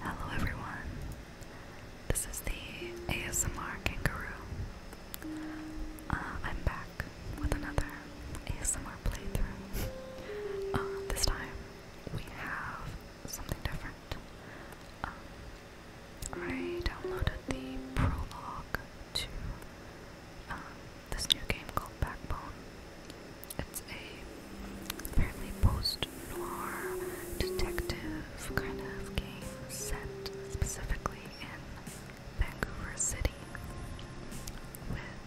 Hello everyone, this is the ASMR Kangaroo. Uh, I'm back with another ASMR playthrough. Uh, this time we have something different. Um, I downloaded the prologue to uh, this new game called Backbone it's a apparently post-noir detective kind of game set specifically in Vancouver City with,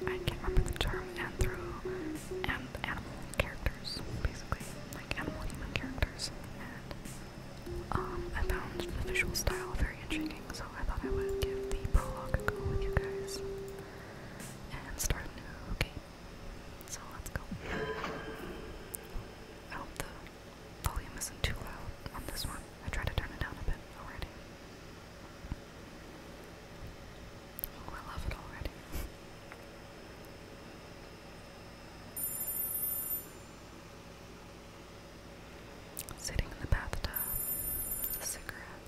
and I can't remember the term, anthro, and animal characters, basically, like animal-human characters. And um, I found the visual style very intriguing, so I thought I would give the prologue a go with you guys and start a new Okay, So let's go. I the volume isn't too loud on this one. I tried to turn it down a bit already. Oh, I love it already. Sitting in the bathtub, cigarette.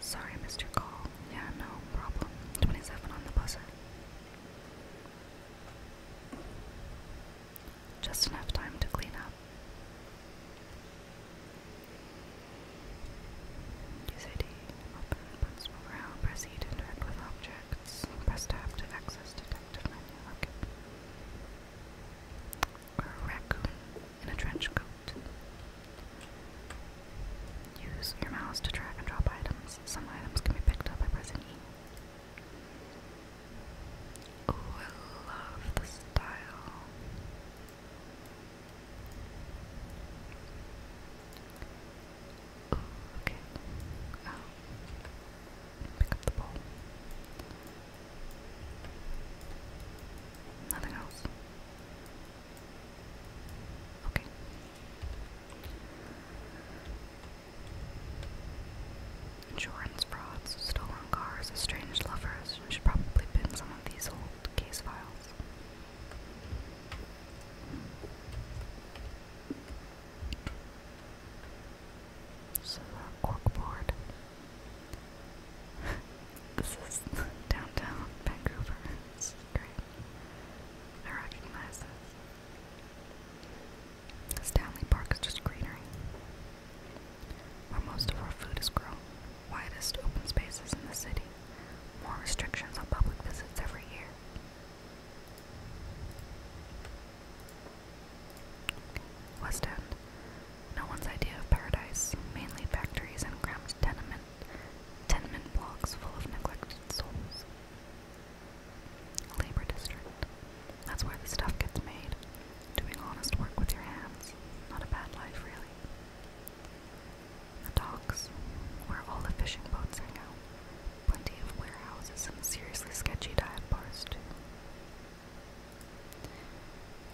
Sorry, Mr. Call. Yeah, no problem. 27 on the buzzer. Just enough time to clean up. Use ID, around, press interact with objects, press tab to access detective menu. Okay or a raccoon in a trench coat. Use your mouse to drag and drop items. Some items can be picked up by pressing E. Oh, I love the style. okay. Um, pick up the bowl. Nothing else. Okay. Insurance frauds, stolen cars, estranged lovers. should probably pin some of these old case files. This uh, is corkboard. this is downtown Vancouver. This great. I recognize this. Stanley Park is just greenery. Where most of our food is grown. Widest open spaces in the city. More restrictions on public visits every year. West End. No one's idea of paradise, mainly factories and cramped tenement tenement blocks full of neglected souls. A Labor district. That's where the stuff gets made. Doing honest work with your hands. Not a bad life, really. The docks, where all the fishing boats hang out. Plenty of warehouses and seriously sketchy dive bars, too.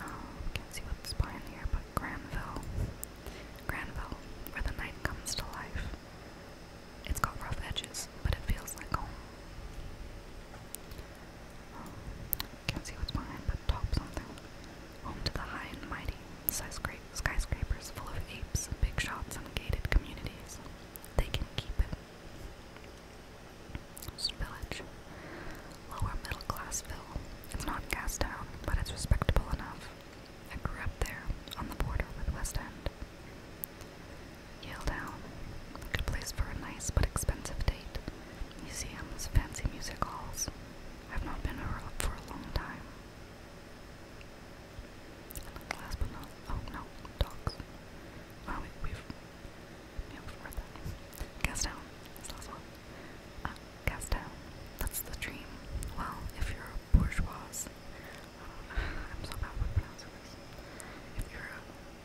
Um, can't see what's behind here, but Granville. Granville, where the night comes to life. It's got rough edges, but it feels like home. Um, can't see what's behind, but top something. Home to the high and mighty, skyscra skyscrapers full of apes, big shots, and gated communities. They can keep it village. Lower middle class Ville. It's not Gastown, but it's respectable enough. I grew up there, on the border with West End. Yale Town. A good place for a nice but expensive date. Museums, fancy music halls. I've not been around for a long time. And last but not oh no, dogs. Wow, we've yeah, before that. last one. Uh, Gastown, that's the dream. Well, if you're a bourgeois, uh, I'm so bad with pronouncing this. If you're a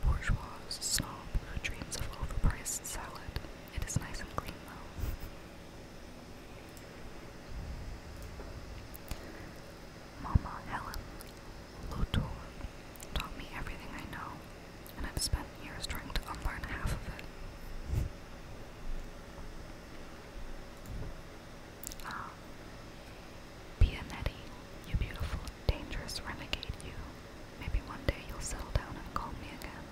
bourgeois snob dreams of overpriced salad, it is nice and clean though. Mama Helen Lotor taught me everything I know, and I've spent years trying to unlearn half of it. Ah, Pianetti, you beautiful, dangerous renegade, you. Maybe one day you'll settle down and call me again.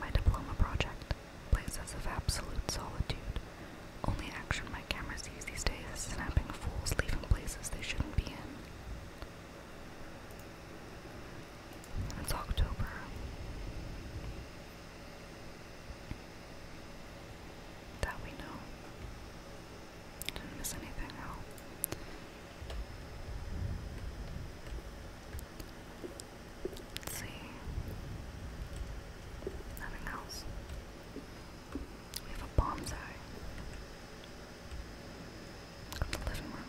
My diploma project, places of absolute solitude, only action Cameras camera these days, snapping fools leaving places they shouldn't be in. It's October. That we know. Didn't miss anything out. Let's see. Nothing else. We have a bomb In living room.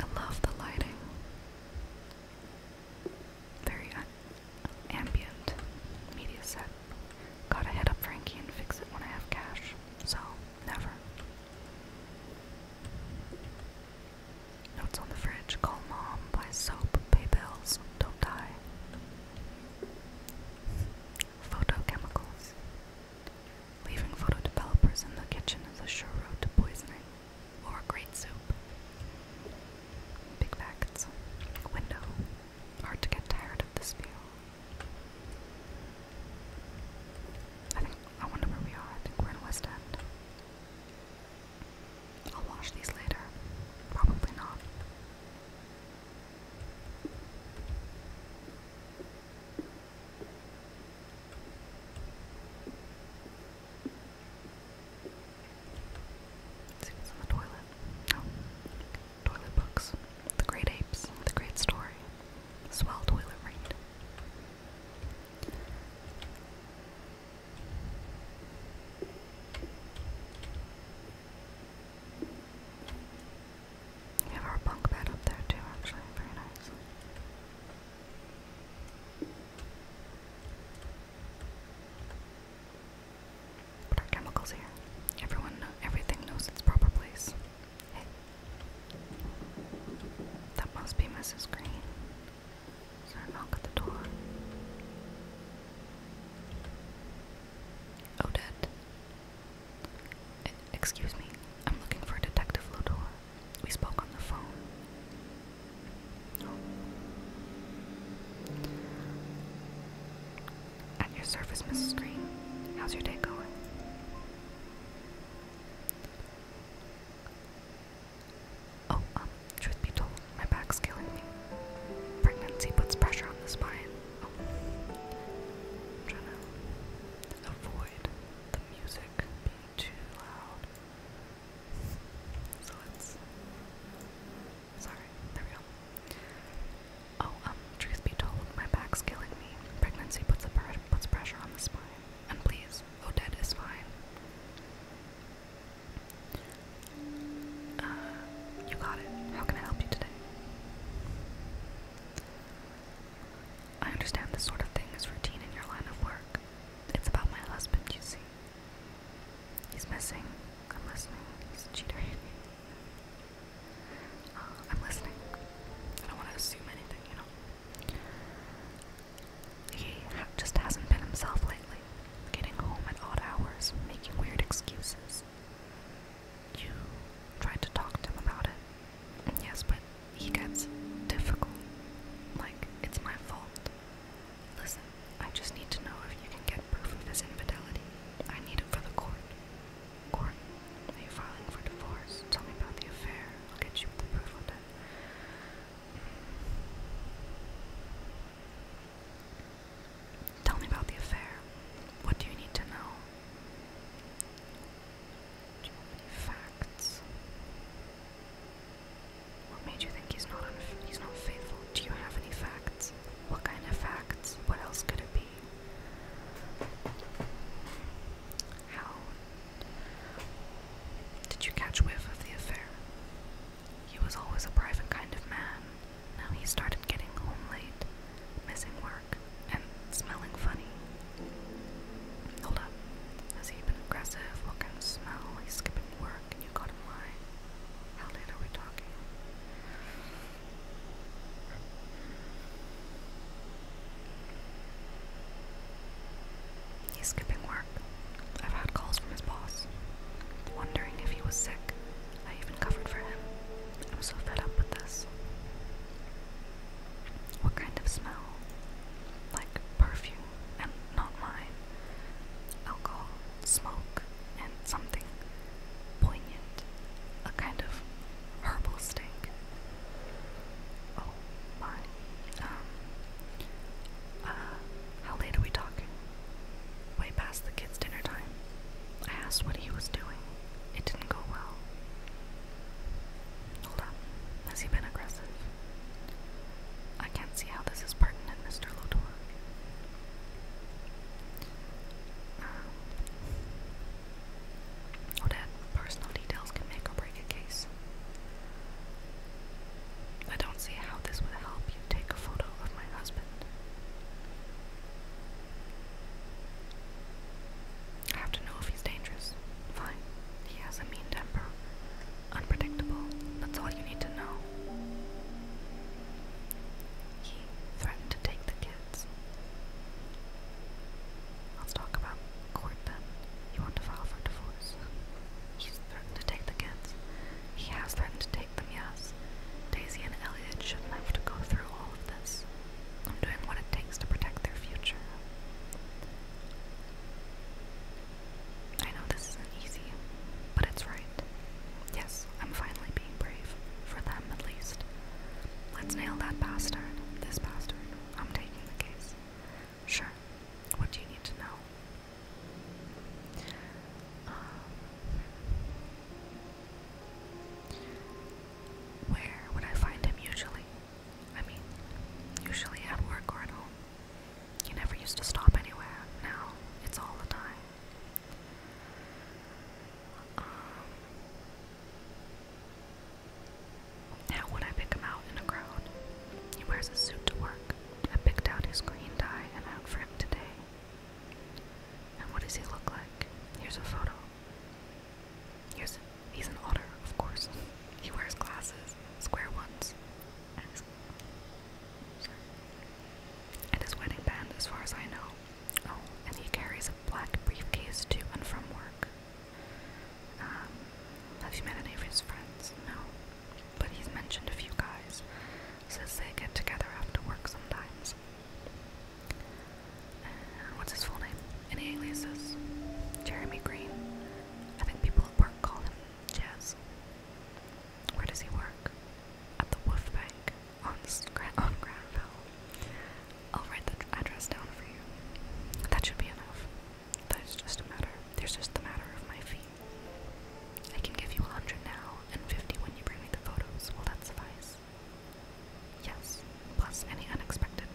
I love the lighting. Very ambient media set. Gotta head up Frankie and fix it when I have cash. So, never. Notes on the fridge. Call mom. Buy soap. Pay bills. Don't die. Photochemicals. Leaving photo developers in the kitchen is a sure road to poisoning or great soup. Big facts. Window. Hard to get tired of the spiel. I think I wonder where we are. I think we're in West End. I'll wash these later. Probably not. see what's in the toilet. Oh, toilet books. The Great Apes. The Great Story. Swell toilet read. We have our bunk bed up there too, actually, very nice. Put our chemicals here. Everyone, everything knows its proper place. Hey, that must be Mrs. Green. Is knock at the door? Odette. Oh, excuse me, I'm looking for Detective Lodore. We spoke on the phone. At your service, Mrs. Green. How's your day going? Oh, um, truth be told, my back's killing me. Pregnancy puts pressure on the spine. Oh. I'm trying to avoid the music being too loud. So let's. Sorry, there we go. Oh, um, truth be told, my back's killing me. Pregnancy puts a puts pressure on the spine. And please, Odette is fine. Uh, you got it. How can I help you today? I understand this sort of thing is routine in your line of work. It's about my husband, you see. He's missing. I'm listening. He's a cheater. uh, I'm listening. I don't want to assume anything, you know. He just hasn't been himself lately, getting home at odd hours, making weird excuses. You tried to talk to him about it. Yes, but he gets difficult. Like, it's my fault. Listen, I just need to know if you can get proof of his infidelity. I need it for the court. Court, are you filing for divorce? Tell me about the affair. I'll get you the proof of it. Tell me about the affair. What do you need to know? Do you have any facts? What made you think he's not he's not faithful? Do you have any facts? What kind of facts? What else could it be? How did you catch whiff of the affair? He was always a private kind of man. Now he started getting home late, missing work, and smelling funny. Hold up. Has he been aggressive? What kind of smell? He's skipping work and you got him lying. How late are we talking? He's skipping work. I've had calls from his boss, wondering if he was sick. I even covered for him. I'm so fed up with this. What kind of smell? Like perfume, and not mine. Alcohol, smoke, and something poignant. A kind of herbal stink. Oh my. Um, uh, how late are we talking? Way past the kids' dinner time. I asked what he was doing. It didn't go well. Hold on. Has he been aggressive? I can't see how this is pertinent, Mr. Lodore. Um, Odette, personal details can make or break a case. I don't see how this would help you take a photo of my husband. I have to know if he's dangerous. Fine. He has a mean temper. Unpredictable. That's all you need to know. He threatened to take the kids. Let's talk about court then. You want to file for divorce? He's threatened to take the kids. He has threatened to take them, yes. Daisy and Elliot shouldn't have to go through all of this. I'm doing what it takes to protect their future. I know this isn't easy, but it's right. Yes, I'm finally being brave. For them, at least. Let's nail that bastard. This bastard. I'm taking the case. Sure. What do you need to know? Um, where would I find him usually? I mean, usually at work or at home. He never used to stop anywhere. Now it's all the time. how um, would I pick him out in a crowd? He wears a suit to work. I picked out his green tie and out for him today. And what does he look like? Here's a photo. Here's he's an otter, of course. He wears glasses, square ones, and his, wedding band, as far as I know. Oh, and he carries a black briefcase to and from work. Um, have you met any of his friends? No, but he's mentioned a few guys. Says they get together after work sometimes. what's his full name? Any aliases? Jeremy Green. I think people at work call him Jazz. Where does he work? At the Wolf Bank on, on Granville. I'll write the address down for you. That should be enough. That's just a matter. There's just the matter of my feet. I can give you a 100 now and 50 when you bring me the photos. Will that suffice? Yes, plus any unexpected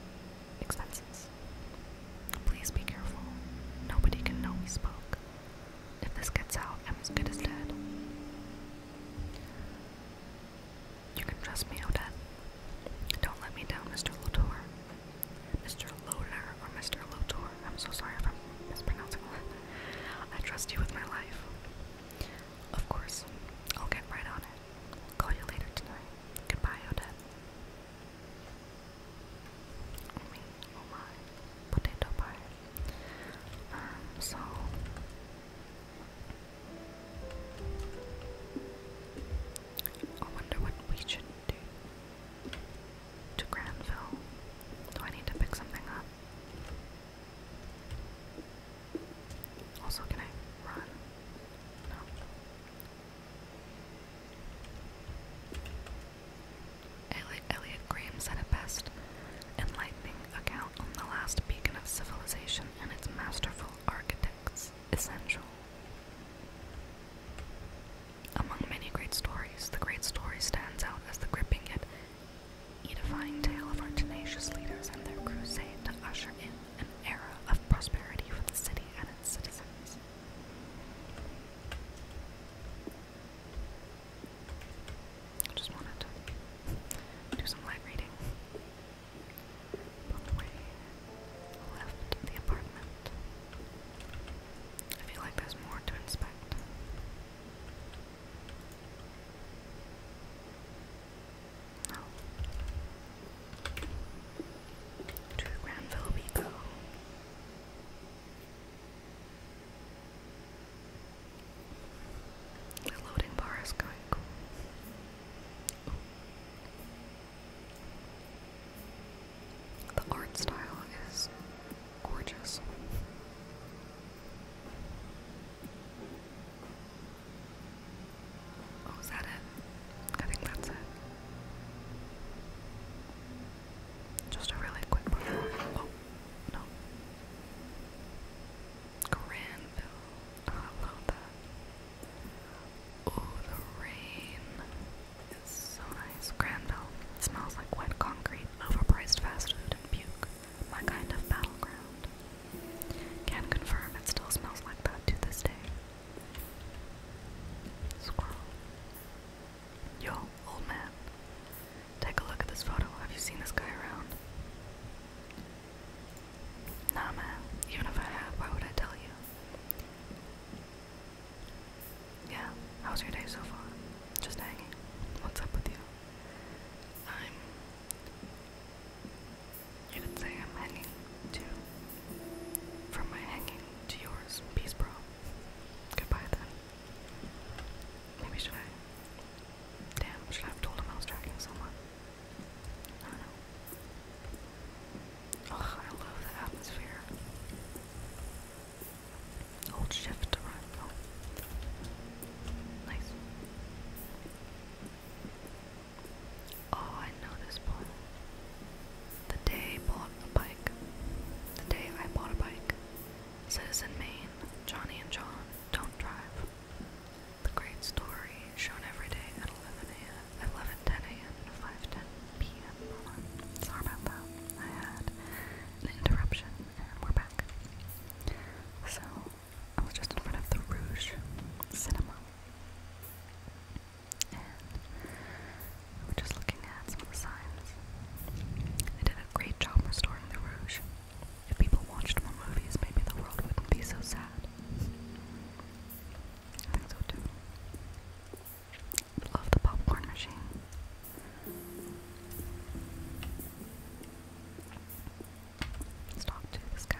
expenses. Please be careful. Nobody can know we spoke. If this gets out, I'm as good as dead. You can trust me, Odette. Don't let me down, Mr. Latour. Mr. Loner or Mr. Lotor. I'm so sorry if I'm mispronouncing I trust you with my life. Of course. I'll get right on it. Call you later tonight. Goodbye, Odette. Oh my. Potato pie. Um, so... I wonder what we should do to Granville. Do I need to pick something up? Also, can I run? No. Elliot Graham said it best, enlightening account on the last beacon of civilization and its masterful architects, essential. Among many great stories, the great story stands out as the gripping yet edifying tale of our tenacious leaders and their crusade to usher in an era of prosperity for the city and its citizens. I just wanted to do some light reading. When we left the apartment, I feel like there's more to inspect. To Granville we go. The loading bar is going The art style is gorgeous. Oh, is that it? I think that's it. Just a really quick Oh, no. Granville. Oh, Oh, the rain is so nice. Granville smells like wet concrete, overpriced fast food, and puke my kind of battleground. Can confirm it still smells like that to this day. Squirrel. Yo, old man. Take a look at this photo. Have you seen this guy around? Nah, man. Even if I have, why would I tell you? Yeah, how's your day so far? Just hanging. What's up with you? I'm. You could say I'm hanging to. From my hanging to yours. Peace, bro. Goodbye then. Maybe should I. Damn, should I have told him I was tracking someone? I know. Ugh, I love the atmosphere. Hold shift to oh. Nice. Oh, I know this one. The day bought a bike. The day I bought a bike. Citizen Maine, Johnny and John, don't drive. The great story shown every day at 11 a.m., 11, a.m., and p.m. Sorry about that. I had an interruption, and we're back. So I was just in front of the Rouge Cinema. And we were just looking at some signs. They did a great job restoring the Rouge. If people watched more movies, maybe the world wouldn't be so sad. I think so too. Love the popcorn machine. Let's talk to this guy.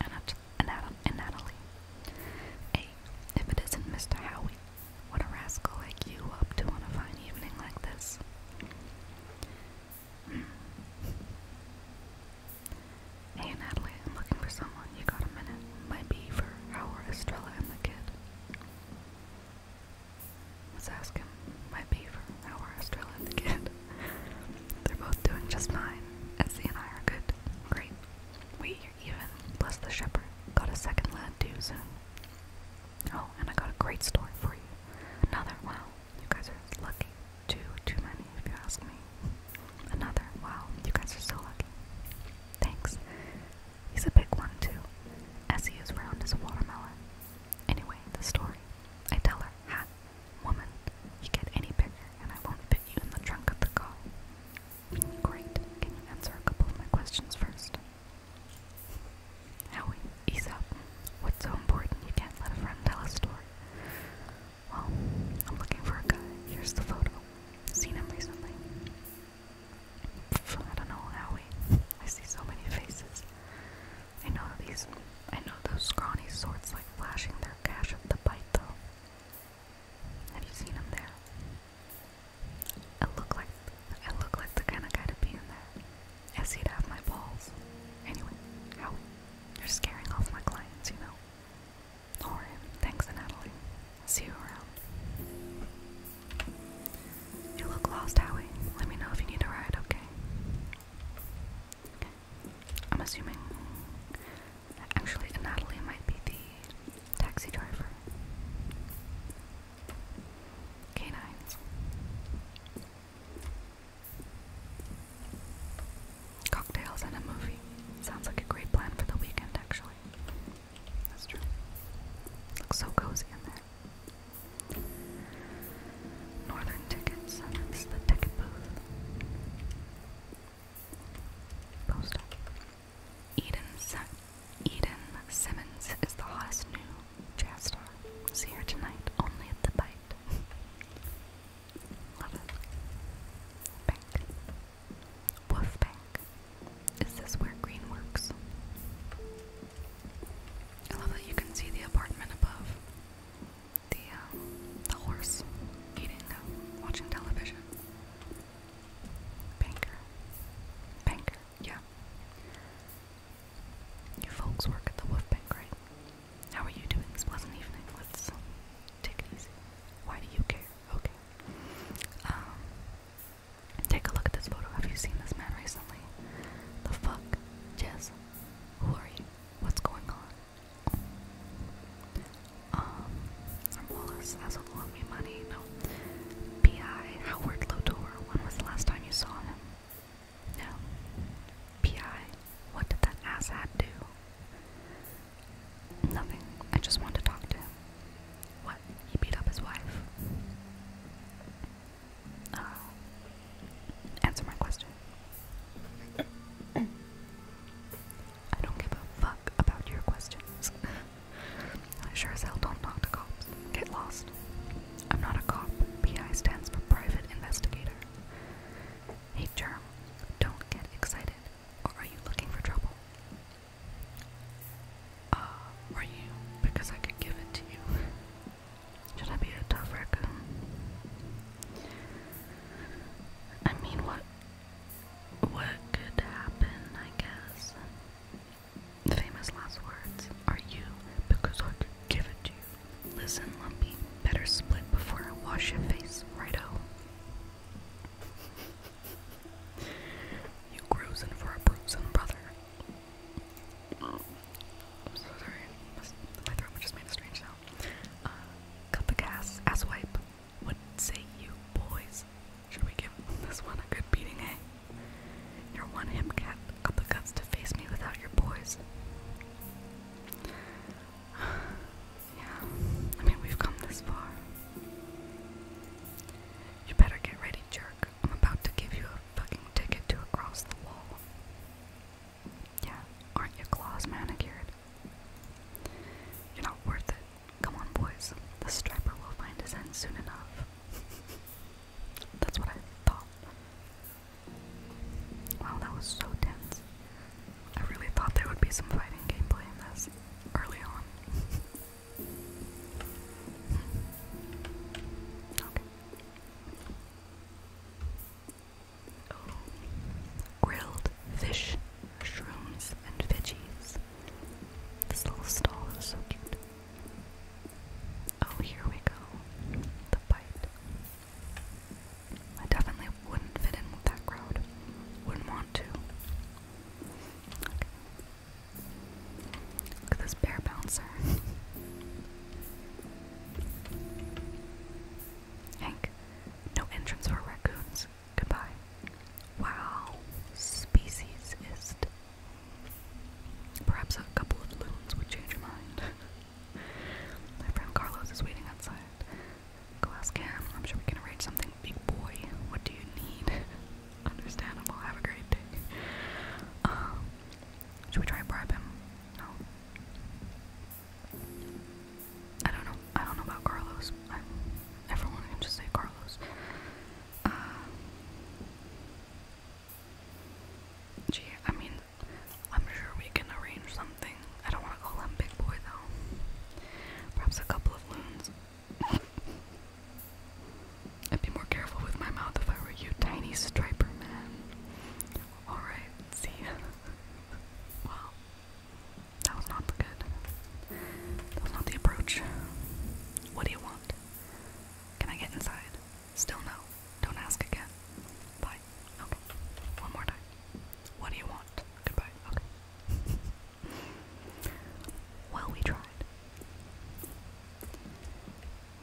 And, and, Adam, and Natalie. Hey, if it isn't Mr. Howie, what a rascal like you up to on a fine evening like this. Hmm. Hey, Natalie, I'm looking for someone. You got a minute? Might for our Estrella and the kid. Let's ask him. Might be for our Australian kid. They're both doing just fine. Etsy and I are good. Great. We are even. Bless the shepherd. Got a second lad too. Oh, and I got a great story for you. Another wow. You guys are lucky. Too, too many, if you ask me. Another wow. You guys are so lucky. Thanks. He's a big one too. As he is round as a watermelon. Anyway, the story. I tell her, ha, woman, you get any bigger and I won't fit you in the trunk of the car. Great, can you answer a couple of my questions first? Howie, Aesop, what's so important you can't let a friend tell a story? Well, I'm looking for a guy. Here's the photo. Seen him recently. I don't know, Howie. I see so many faces. I know these I know those scrawny sorts like flashing their cash at the bite though. Have you seen them there? I look like I look like the kind of guy to be in there. I see it have my balls. Anyway, how you're scaring off my clients, you know. Alright, thanks Natalie. See you around. You look lost, Howie. Let me know if you need a ride, okay? I'm assuming. Actually, Natalie might be the taxi driver. Canines. Cocktails and a movie. Sounds like a great plan for the weekend, actually. That's true. Looks so cozy in there. Northern Tickets, that's the ticket booth. Postal. Eden, Eden Simmons is the hottest new jazz star. See her tonight only at the bite. Love it. Bank. Wolf Bank. Is this where green works? I love that you can see the apartment above. The uh, the horse eating, uh, watching television. Banker, banker, yeah. You folks work at the Wolf Bank, How are you doing this pleasant evening? Let's take it easy. Why do you care? Okay. Um. Take a look at this photo. Have you seen this man recently? The fuck Jess, who are you? What's going on? Um, I'm Wallace. That's what loan me money. No. P.I. Howard Lodor. When was the last time you saw him? No. P.I. What did that asshat do? Nothing. I just wanted to talk to him. What? He beat up his wife. Uh, answer my question. I don't give a fuck about your questions. I sure as hell don't talk cops. Get lost. I'm not a cop. PI stands for private investigator. Hey, Germ, don't get excited. Or are you looking for trouble? Uh, are you? Because I could give it to you. Should I be a tough raccoon? I mean, what what could happen? I guess. Famous last words are you because I could give it to you. Listen, Lumpy, better split before I wash your face, righto. you gruisin' for a bruising brother. I'm so sorry. my throat just made a strange sound. Uh, cut the gas, ass What say you, boys? Should we give this one a good beating, eh? Your one him cat got the to face me without your boys. yeah, I mean, we've come this far. You better get ready, jerk. I'm about to give you a fucking ticket to across the wall. Yeah, aren't your claws manicured? You're not worth it. Come on, boys. The striper will find his end soon enough. That's what I thought. Wow, that was so tense. I really thought there would be some fighting gameplay in this early on. okay. Grilled fish, mushrooms, and veggies. This little stall is so cute. Oh, here we go. The bite. I definitely wouldn't fit in with that crowd. Wouldn't want to. Look at this bear bouncer. Hank, no entrance for raccoons. Goodbye. Wow, speciesist. Perhaps a couple of loons would change your mind. My friend Carlos is waiting outside. Go ask I'm sure we can arrange something. Big boy, what do you need? Understandable. Have a great day. Um, should we try and bribe him? No. I don't know. I don't know about Carlos. I'm, everyone can just say Carlos. Uh, gee, I mean, I'm sure we can arrange something. I don't want to call him Big Boy though. Perhaps a couple of loons. I'd be more careful with my mouth if I were you, tiny striper man. Alright, see well, that was not good. That not the approach. What do you want? Can I get inside? Still no. Don't ask again. Bye. Okay. One more time. What do you want? Goodbye. Okay. well, we tried.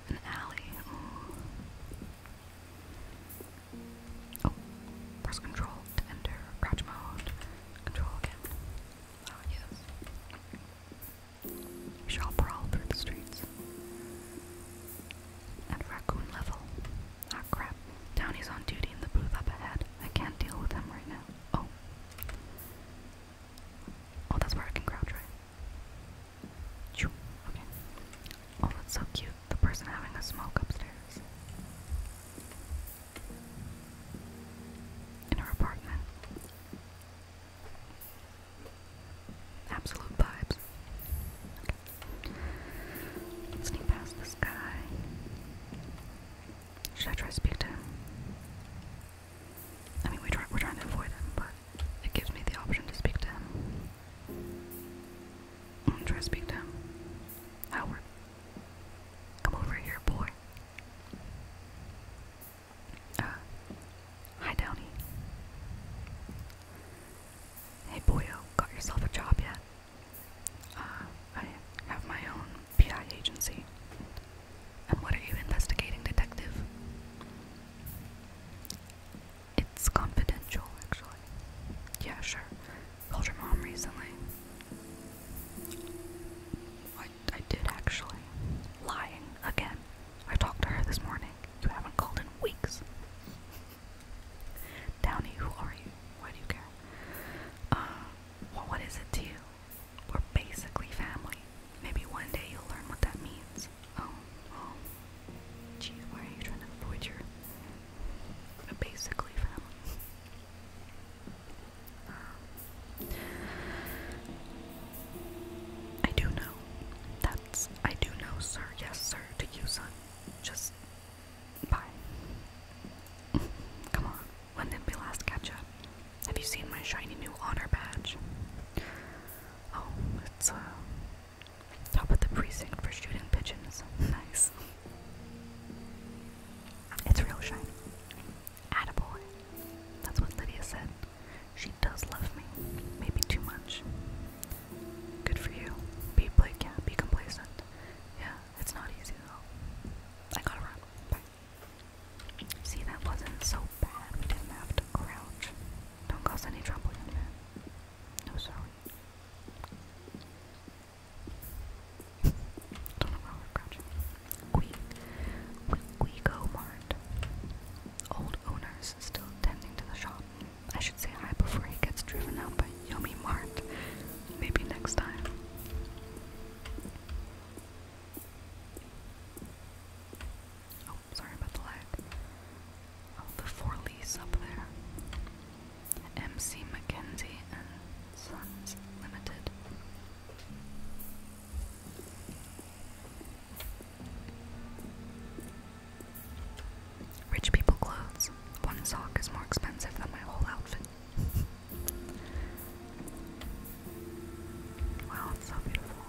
An alley. Oh, press control to enter crouch mode. Control again. Ah, yes. We shall prowl through the streets. At raccoon level. Ah, crap. Downey's on duty in the booth up ahead. I can't deal with him right now. Oh. Oh, that's where I can crouch, right? Oh, that's so cute. The person having a smoke upstairs. In her apartment. Absolute vibes. Sneak past this guy. Should I try to speak to him? I mean, we try, we're trying to avoid him, but it gives me the option to speak to him. I'm gonna try speak to him. Howard. Come over here, boy. Uh, hi, Downey. Hey, boyo, got yourself a job yet? Uh, I have my own PI agency. And what are you investigating, detective? It's confidential, actually. Yeah, sure. Called your mom recently. I, I did actually. Lying again. I talked to her this morning. You haven't called in weeks. Downey, who are you? Why do you care? Uh, well, what is it to you? We're basically family. Maybe one day you'll learn what that means. Oh, well. Oh. Geez, why are you trying to avoid your uh, basically family? I do know. That's I do know, sir. Yes, sir. To you, son. Just bye. Come on. When did we last catch up? Have you seen my shiny new honor badge? Oh, it's uh Top of the precinct for shooting pigeons. nice. It's real shiny. Attaboy. That's what Lydia said. She does love me. Maybe too much. Good for you. Be Blake, yeah, be complacent. Yeah, it's not easy though. I gotta See, that wasn't so bad. We didn't have to crouch. Don't cause any trouble, young man. No, sorry. Don't know we We, go Mart. Old owners still tending to the shop. I should say hi before he gets driven out by Yummy Mart. Maybe next time. Oh, sorry about the lag. Oh, the four lease up there. MC Mackenzie Sons Limited. Rich people clothes. One sock is more expensive than my whole outfit. wow, it's so beautiful.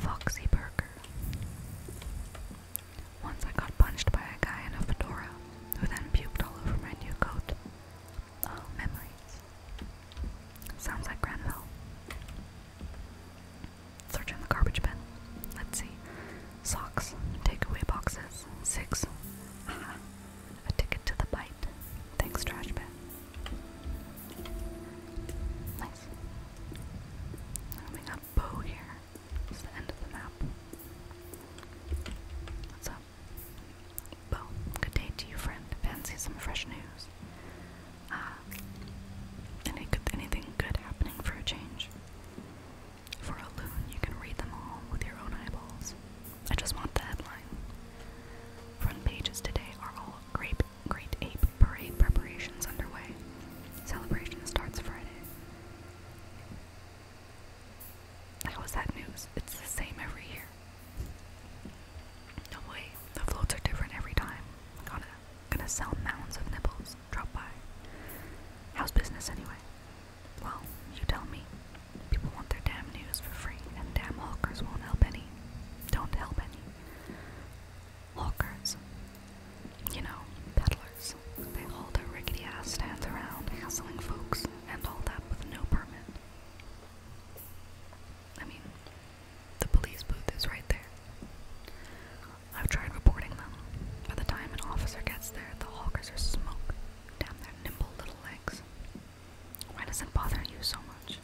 Foxy Burger. Once I got punched by a guy in a fedora who then puked all over my new coat. Oh, memories. Sounds like Granville. Search the garbage bin. Let's see. Socks. Takeaway boxes. Six. Aha. A ticket to the bite. Thanks, trash Nice. we got Bow here. It's the end of the map. What's up? Bo, good day to you, friend. Fancy some fresh news. Ah, any good, anything good happening for a change? For a loon, you can read them all with your own eyeballs. I just want the headline. Front pages today are all grape Great Ape Parade preparations underway. Celebration starts Friday. That was that news? It's the same every year. No way. The floats are different every time. Gonna, gonna sell mounds of nipples. Drop by. How's business anyway? Well, you tell me. People want their damn news for free, and damn hawkers won't help any. Don't help any. Hawkers. You know, peddlers. They hold their rickety ass stands around, hassling folks, and all that with no permit. I mean, the police booth is right there. I've tried reporting them. By the time an officer gets there, the hawkers are smoke. Damn their nimble little legs. Why does it bother you so much?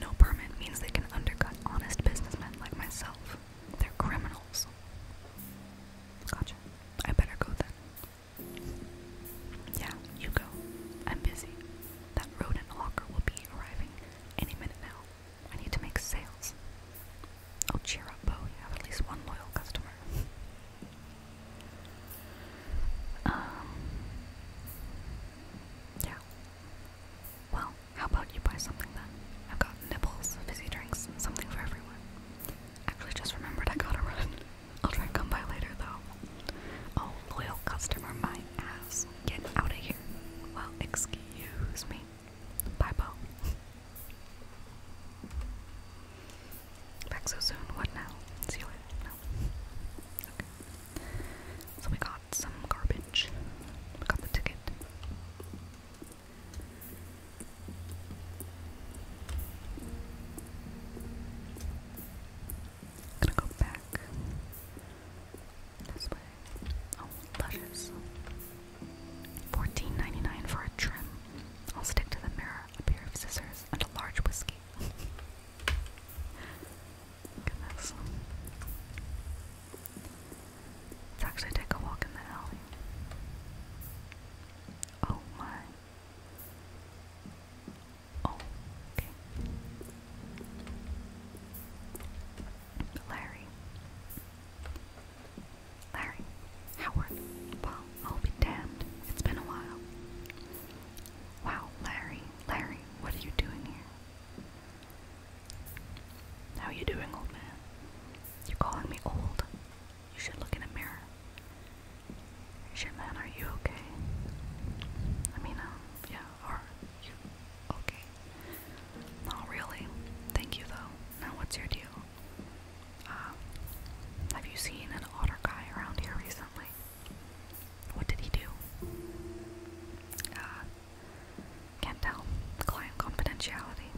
No permit means they can undercut honest businessmen like myself. They're criminals. Gotcha. I better go then. Yeah, you go. I'm busy. That rodent locker will be arriving any minute now. I need to make sales. Oh, cheer up, Bo. You have at least one loyal customer. Um, yeah. Well, how about you buy something then? I've got nibbles, fizzy drinks, something for everyone. Actually, just remembered I gotta run. I'll try and come by later though. Oh, loyal customer, my ass. Get out of here. Well, excuse me. Bye, Bo. Back so soon? What now? See you later? No. Okay. So we got some garbage. got the ticket. gonna go back this way. Oh, luscious. 14 for a trim. I'll stick to the mirror, a pair of scissors, and a large whiskey. Let's actually take a walk in the alley. Oh my. Oh, okay. Larry. Larry. Howard. Well, I'll be damned. It's been a while. Wow, Larry. Larry, what are you doing here? How are you doing, old man? You're calling me old. You should look in a mirror. Is your man, are you okay? I mean, um, yeah, are you okay? Not really. Thank you, though. Now, what's your deal? Uh, have you seen an otter guy around here recently? What did he do? Uh, can't tell. Client confidentiality.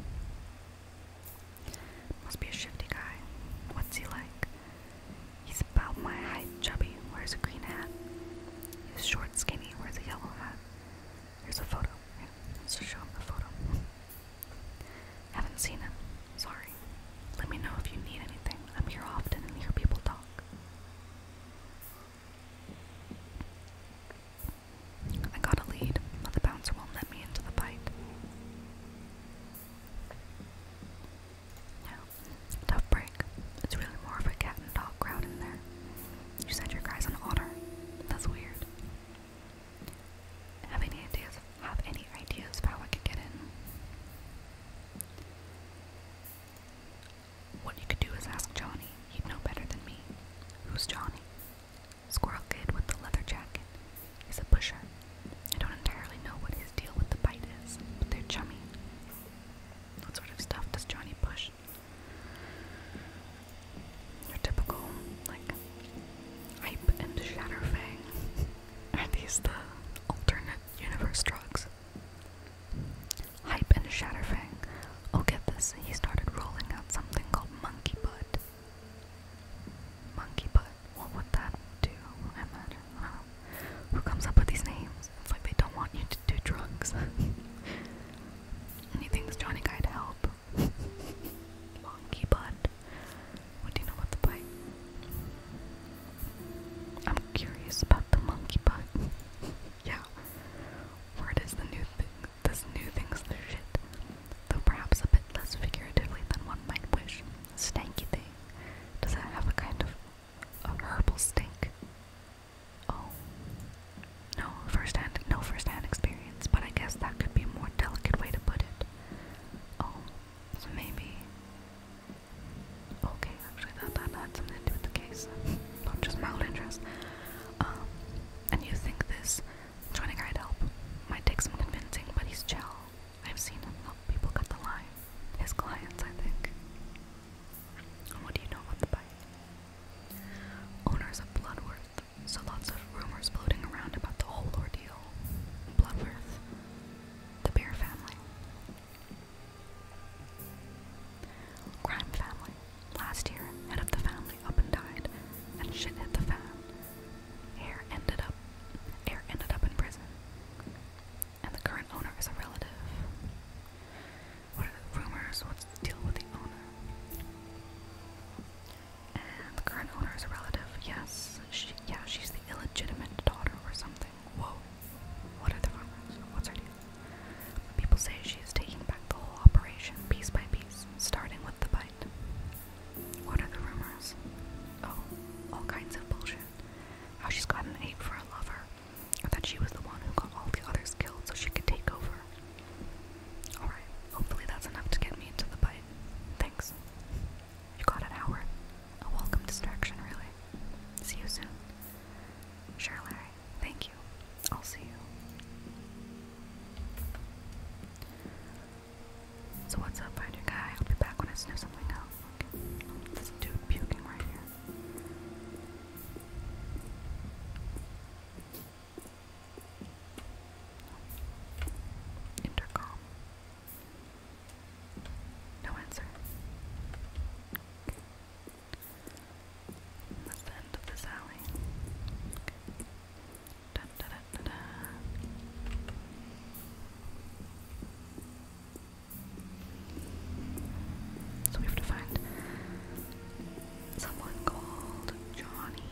Must be a shifty guy. What's he like? He's about my height, chubby, wears a green hat. He's short, skinny, wears a yellow hat. Here's a photo. Yeah, let's show him the photo. Haven't seen him. Sorry. Let me know if you need anything. I'm here often and hear people talk. I got a lead, but the bouncer won't let me into the fight. Yeah, tough break. It's really more of a cat and dog crowd in there. You said your guy's on an otter. That's weird. Have any ideas? Have any ideas of how I get in? What you could do is ask Johnny. He'd know better than me. Who's Johnny? Squirrel Kid with the leather jacket. He's a pusher. I don't entirely know what his deal with the bite is, but they're chummy. What sort of stuff does Johnny push? Your typical, like, hype and shatter fang. Are these the alternate universe drugs? Hype and Shatterfang. Oh, get this. He started rolling out something called Monkey Butt. Monkey Butt. What would that do? imagine. Who comes up with these names? It's like they don't want you to do drugs. and he thinks Johnny Guy'd help. Monkey Butt. What do you know about the bite? I'm curious about the monkey butt. yeah. Word is the new thing. This new thing's the shit, though perhaps a bit less figuratively than one might wish. Stanky thing. Does it have a kind of a herbal stink? Oh, no first-hand, no first-hand experience. But I guess that could be a more delicate way to put it. Oh, so maybe. Okay. Actually, that, that had something to do with the case, not just my old interest. Um, and you think this joining I'd help might take some convincing, but he's chill. I've seen him help people cut the line. His clients, I think. what do you know about the bite? Owners of Bloodworth, so lots of rumors floating around about the whole ordeal. Bloodworth, the Bear family. Crime family. Last year, head of the family up and died, and shit hit the fan. Air ended up Air ended up in prison. And the current owner is a relative. What are the rumors? What's the deal with the owner? And the current owner is a relative, yes. She yeah, she's the illegitimate daughter or something. Whoa. What are the rumors? What's her deal? People say she is taking back the whole operation piece by piece, starting with the bite. What are the rumors? Oh, all kinds of bullshit. How she's got an ape for a lover, or that she was the one who got all the others killed so she could take over. Alright, hopefully that's enough to get me into the bite. Thanks. You got an hour. A welcome distraction, really. See you soon. Sure, Larry thank you. I'll see you. So what's up, finder guy? I'll be back when I sniff something out. dude puking right here. Intercom. No answer. That's the end of this alley. So we have to find someone called Johnny.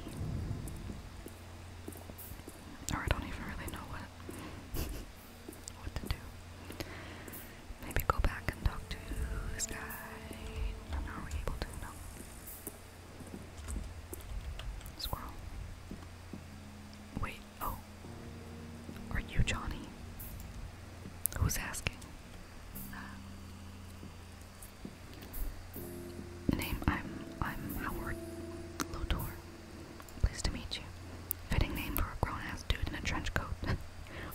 Or I don't even really know what what to do. Maybe go back and talk to this are we able to? No. Squirrel. Wait, oh. Are you Johnny? Who's asking? name I'm I'm Howard Lotor. Pleased to meet you. Fitting name for a grown ass dude in a trench coat.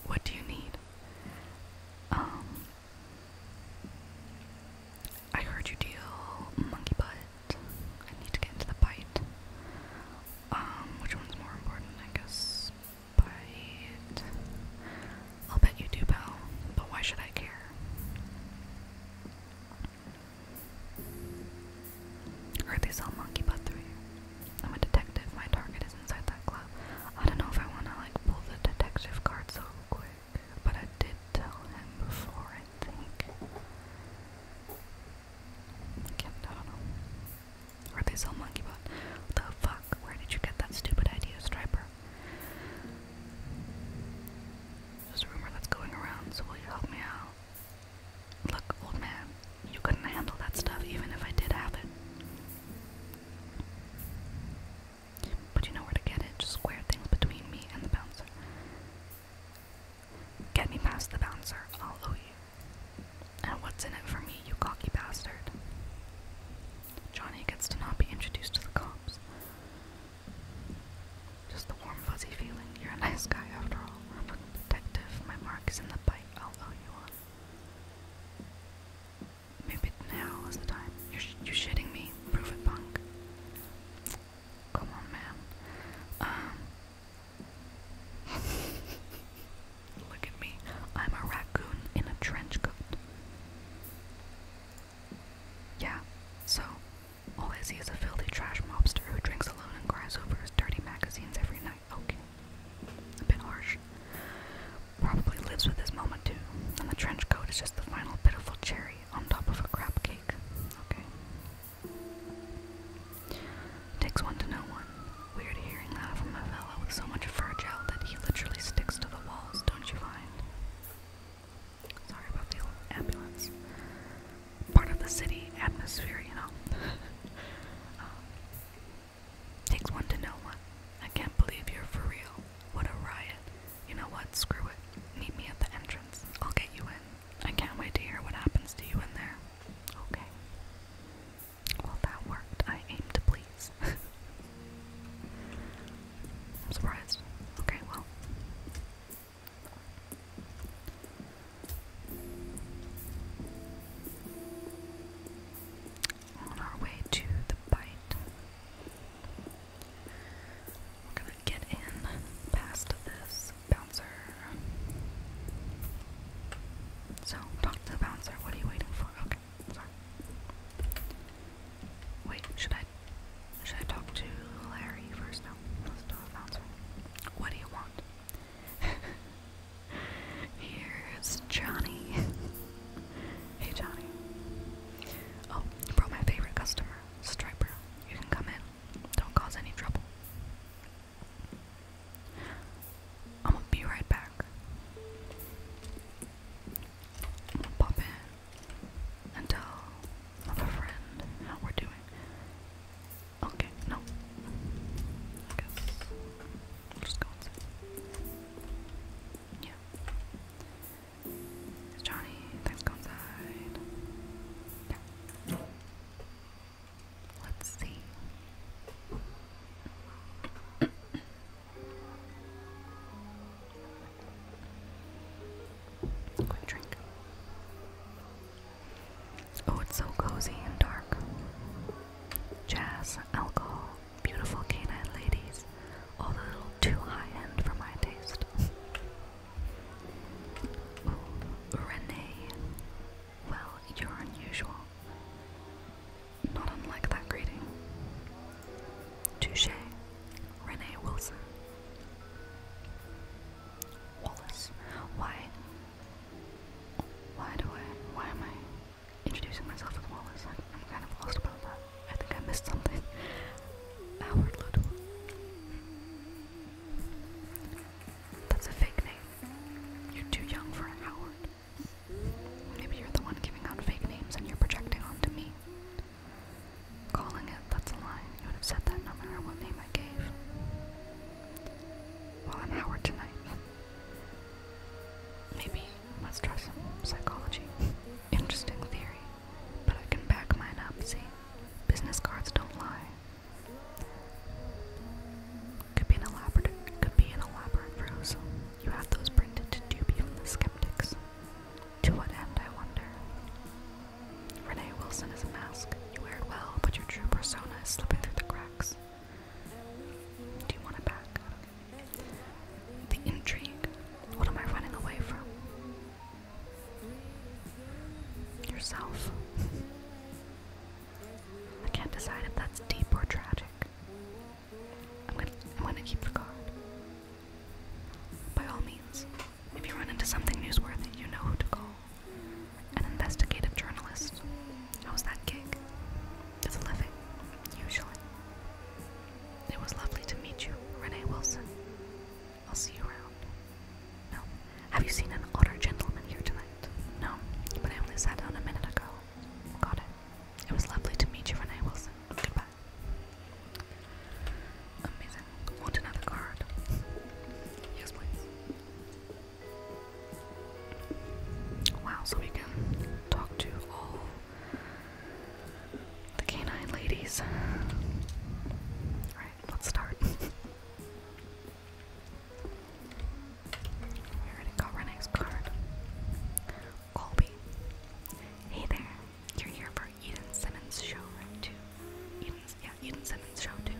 what do you need? Um, I heard you deal monkey butt. I need to get into the bite. Um, which one's more important? I guess bite. I'll bet you do, pal. But why should I care? Or they sell monkey butt through you. I'm a detective. My target is inside that club. I don't know if I want to like pull the detective card so quick, but I did tell him before, I think. Again, I don't know. Or they sell monkey butt. The fuck? Where did you get that stupid idea, Striper? There's a rumor that's going around, so will you help me out? Look, old man, you couldn't handle that stuff even if I did have it. But you know where to get it, just square things between me and the bouncer. Get me past the bouncer, I'll owe you. And what's in it for me, you cocky bastard? Johnny gets to not be introduced to the cops. Just the warm, fuzzy feeling. You're a nice guy after all. I'm a detective. My mark is in the bite. I'll owe you one maybe now is the time. You're, you're shitting me. Prove it, punk. Come on, man. Um. Look at me. I'm a raccoon in a trench coat. Yeah, so all I is a filthy trash mobster who drinks alone and cries over his dirty magazines every night. Okay. A bit harsh. Probably lives with his mama too, and the trench coat is just the final pitiful cherry on top of a crap cake. Okay. Takes one to know one. Weird hearing that from a fellow with so much fur gel that he literally sticks to the walls, don't you find? Sorry about the ambulance. Part of the city atmosphere, you know. Um, Takes one to know one. I can't believe you're for real. What a riot. You know what? Screw it. Meet me at the entrance. I'll get you in. I can't wait to hear what happens to you in there. Okay. Well, that worked. I aim to please. I'm surprised. Okay, well on our way to the bite. We're gonna get in past this bouncer. So, talk to the bouncer. What are you waiting for? Okay, sorry. Wait, should I should I talk to Larry first? No, let's do a bouncer. What do you want? Here's Johnny. Hey Johnny. Oh, you my favorite customer, Striper. You can come in. Don't cause any trouble. I'm gonna be right back. I'm gonna pop in and tell my friend how we're doing. Okay, no. I I'll just go inside. Yeah. It's Johnny. let inside. Yeah. Let's see. Quick drink. Oh, it's so cozy and dark. Jazz, alcohol, beautiful canine ladies, all the little too high-end for my taste. Renee. Well, you're unusual. Not unlike that greeting. Touche, Renee Wilson. Wallace, why? Why do I? Why am I? introducing myself as Wallace. I'm, I'm kind of lost about that. I think I missed something. Howard Ludwig. That's a fake name. You're too young for Howard. Maybe you're the one giving out fake names and you're projecting onto me. Calling it, that's a lie. You would have said that no matter what name I gave. Well, Howard tonight. Maybe Let's try some psychology. Interesting theory, but I can back mine up, see? Business cards don't lie. Could be an elaborate could be an elaborate ruse. You have those printed to dupe even the skeptics. To what end, I wonder? Renee Wilson is a mask. You wear it well, but your true persona is slipping through the cracks. Do you want it back? The intrigue. What am I running away from? Yourself. I can't decide if that's deep or tragic. I'm gonna I'm gonna keep the By all means, if you run into something newsworthy, you know who to call. An investigative journalist. How's that gig? It's a living, usually. It was lovely to meet you, Renee Wilson. I'll see you around. No. Have you seen an older gentleman here tonight? No, but I only sat down a minute ago. Got it. It was lovely to meet you, Renee Wilson. Goodbye. Amazing. Want another card? Yes, please. Wow, so we can talk to all the canine ladies. Alright, let's start. We're gonna go our next card. Colby. Hey there. You're here for Eden Simmons' show, right? yeah, Eden Simmons' show, too.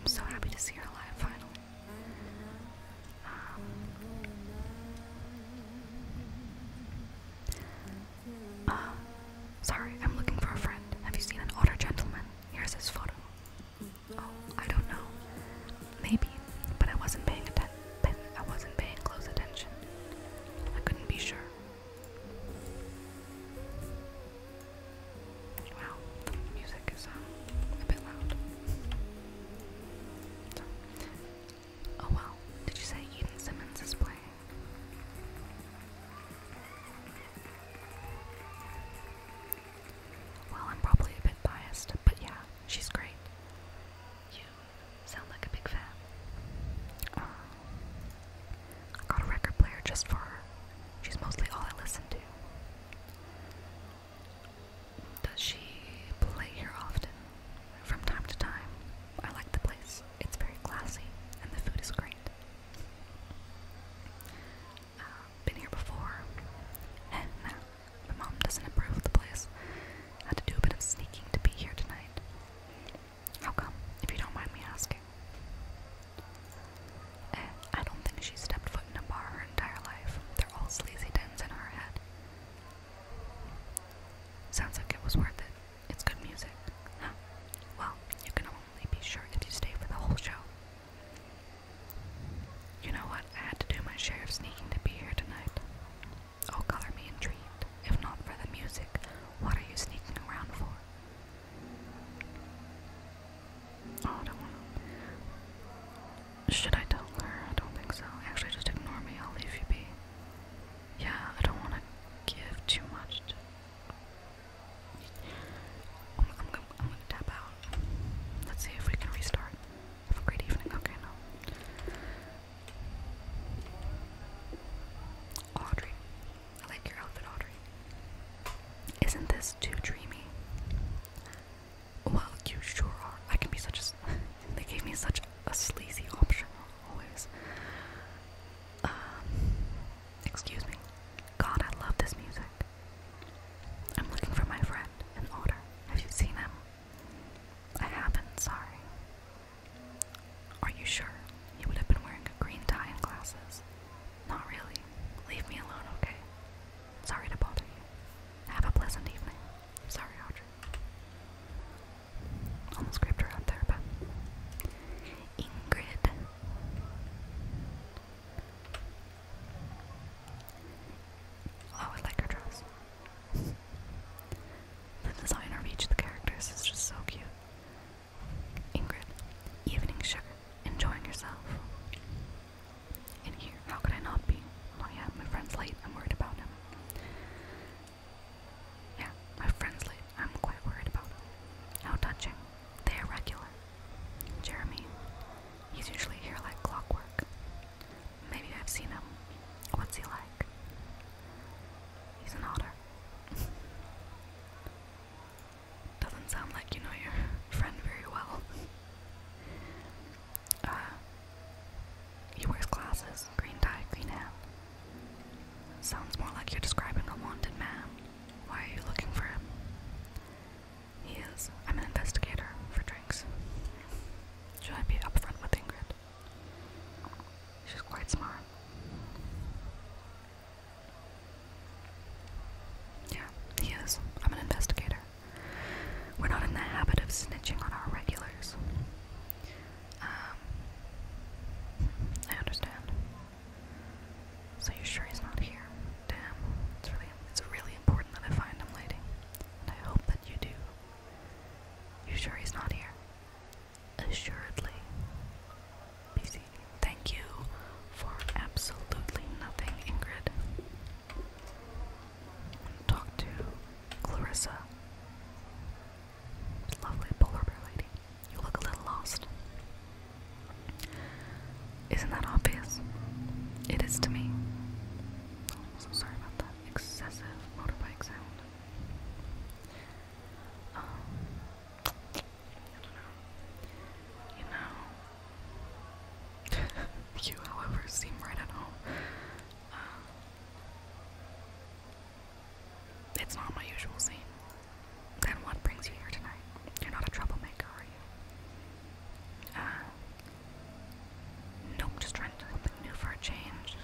I'm so happy to see her live finally. Um, um, sorry, I'm looking for a friend. Have you seen an older gentleman? Here's his photo. Oh, I don't know. Maybe, but I wasn't paying attention. I wasn't paying close attention. I couldn't be sure. Wow, the music is um, a bit loud. Oh well, did you say Eden Simmons is playing? Well, I'm probably a bit biased, but yeah, she's great. You sound like a big fan. Uh, I got a record player just for her. She's mostly all I listen to. Does she play here often? from time to time. I like the place. It's very classy, and the food is great. Uh, been here before. Eh, My mom doesn't approve of the place. had to do a bit of sneaking to be here tonight. How come, if you don't mind me asking? Eh, I don't think she's stepped foot in a bar her entire life. They're all sleazy dens in her head. Sounds like it was worth it. It's good music, huh? Well, you can only be sure if you stay for the whole show. You know what? I had to do my share of sneaking to be here tonight. Oh, color me intrigued. If not for the music, what are you sneaking around for? Oh, I don't want Should I tell her? I don't think so. Actually, just ignore me. I'll leave you be. Yeah, I don't want to give too much. I'm, gonna tap out. Let's see if we can restart. Have a great evening. Okay, Audrey. I like your outfit, Audrey. Isn't this too dreamy? Well, you sure are. I can be such they gave me such a sleazy option always. Um, excuse me. God, I love this music. I'm looking for my friend, an otter. Have you seen him? I haven't, sorry. Are you sure? He would have been wearing a green tie and glasses. Not really. Leave me alone, okay? Sorry to bother you. Have a pleasant evening. Sorry, Audrey almost scraped her out there, but Ingrid. Oh, I like her dress. the design of each of the characters is just so cute. Ingrid, evening sugar, enjoying yourself. In here, how could I not be? Oh yeah, my friend's late. I'm worried about him. Yeah, my friend's late. I'm quite worried about it. How touching. They are regular. Jeremy. He's usually here like clockwork. Maybe I've seen him. What's he like? He's an otter. Doesn't sound like you know your friend very well. Uh, he wears glasses, green tie, green hat. Sounds more like you're describing a wanted man. Why are you looking for him? He is. I'm an investigator for drinks. Should I be upfront with Ingrid? She's quite smart. Yeah, he is. I'm an investigator. We're not in the habit of snitching on our regulars. Um, I understand. So you're sure he's not here? Damn, it's really, it's really important that I find him, lady. I hope that you do. You sure he's not here? Assuredly. thank you for absolutely nothing, Ingrid. talk to Clarissa. Lovely polar bear lady. You look a little lost. Isn't that obvious? It is to me. Oh, so sorry about that excessive motorbike sound. Um, you know. you, however, seem right at home. Uh, it's not my usual scene. Then what brings you here tonight? You're not a troublemaker, are you? Uh, nope, just trying to do something new for a change.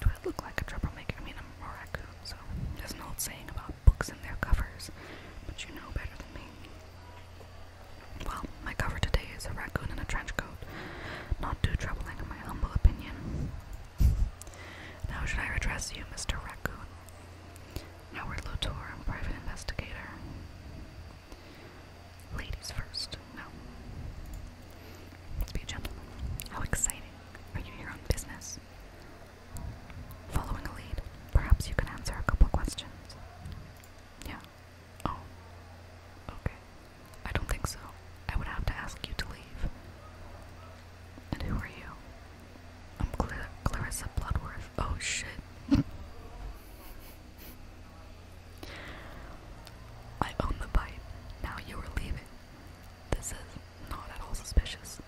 Do I look like a troublemaker? I mean, I'm a raccoon, so there's an old saying about books and their covers, but you know better than me. Well, my cover today is a raccoon in a trench coat. Not too troubling in my humble opinion. now should I address you, Mr. Raccoon? Howard Latour, private investigator. Ladies first, no. Let's be How exciting. Are you here on business? Following a lead, perhaps you can answer a couple questions. Yeah. Oh. Okay. I don't think so. I would have to ask you to leave. And who are you? I'm Cla Clarissa Bloodworth. Oh shit. I own the bite. Now you are leaving. This is not at all suspicious.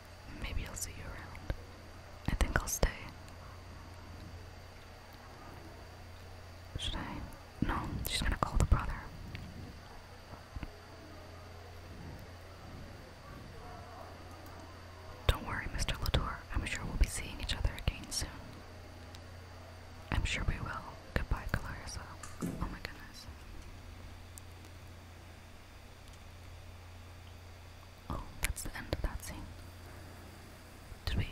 Maybe I'll see you around. I think I'll stay. Should I? No, she's gonna call the brother. Don't worry, Mr. Latour. I'm sure we'll be seeing each other again soon. I'm sure we will. Goodbye, Calarissa. Oh my goodness. Oh, that's the end of that scene. Did we?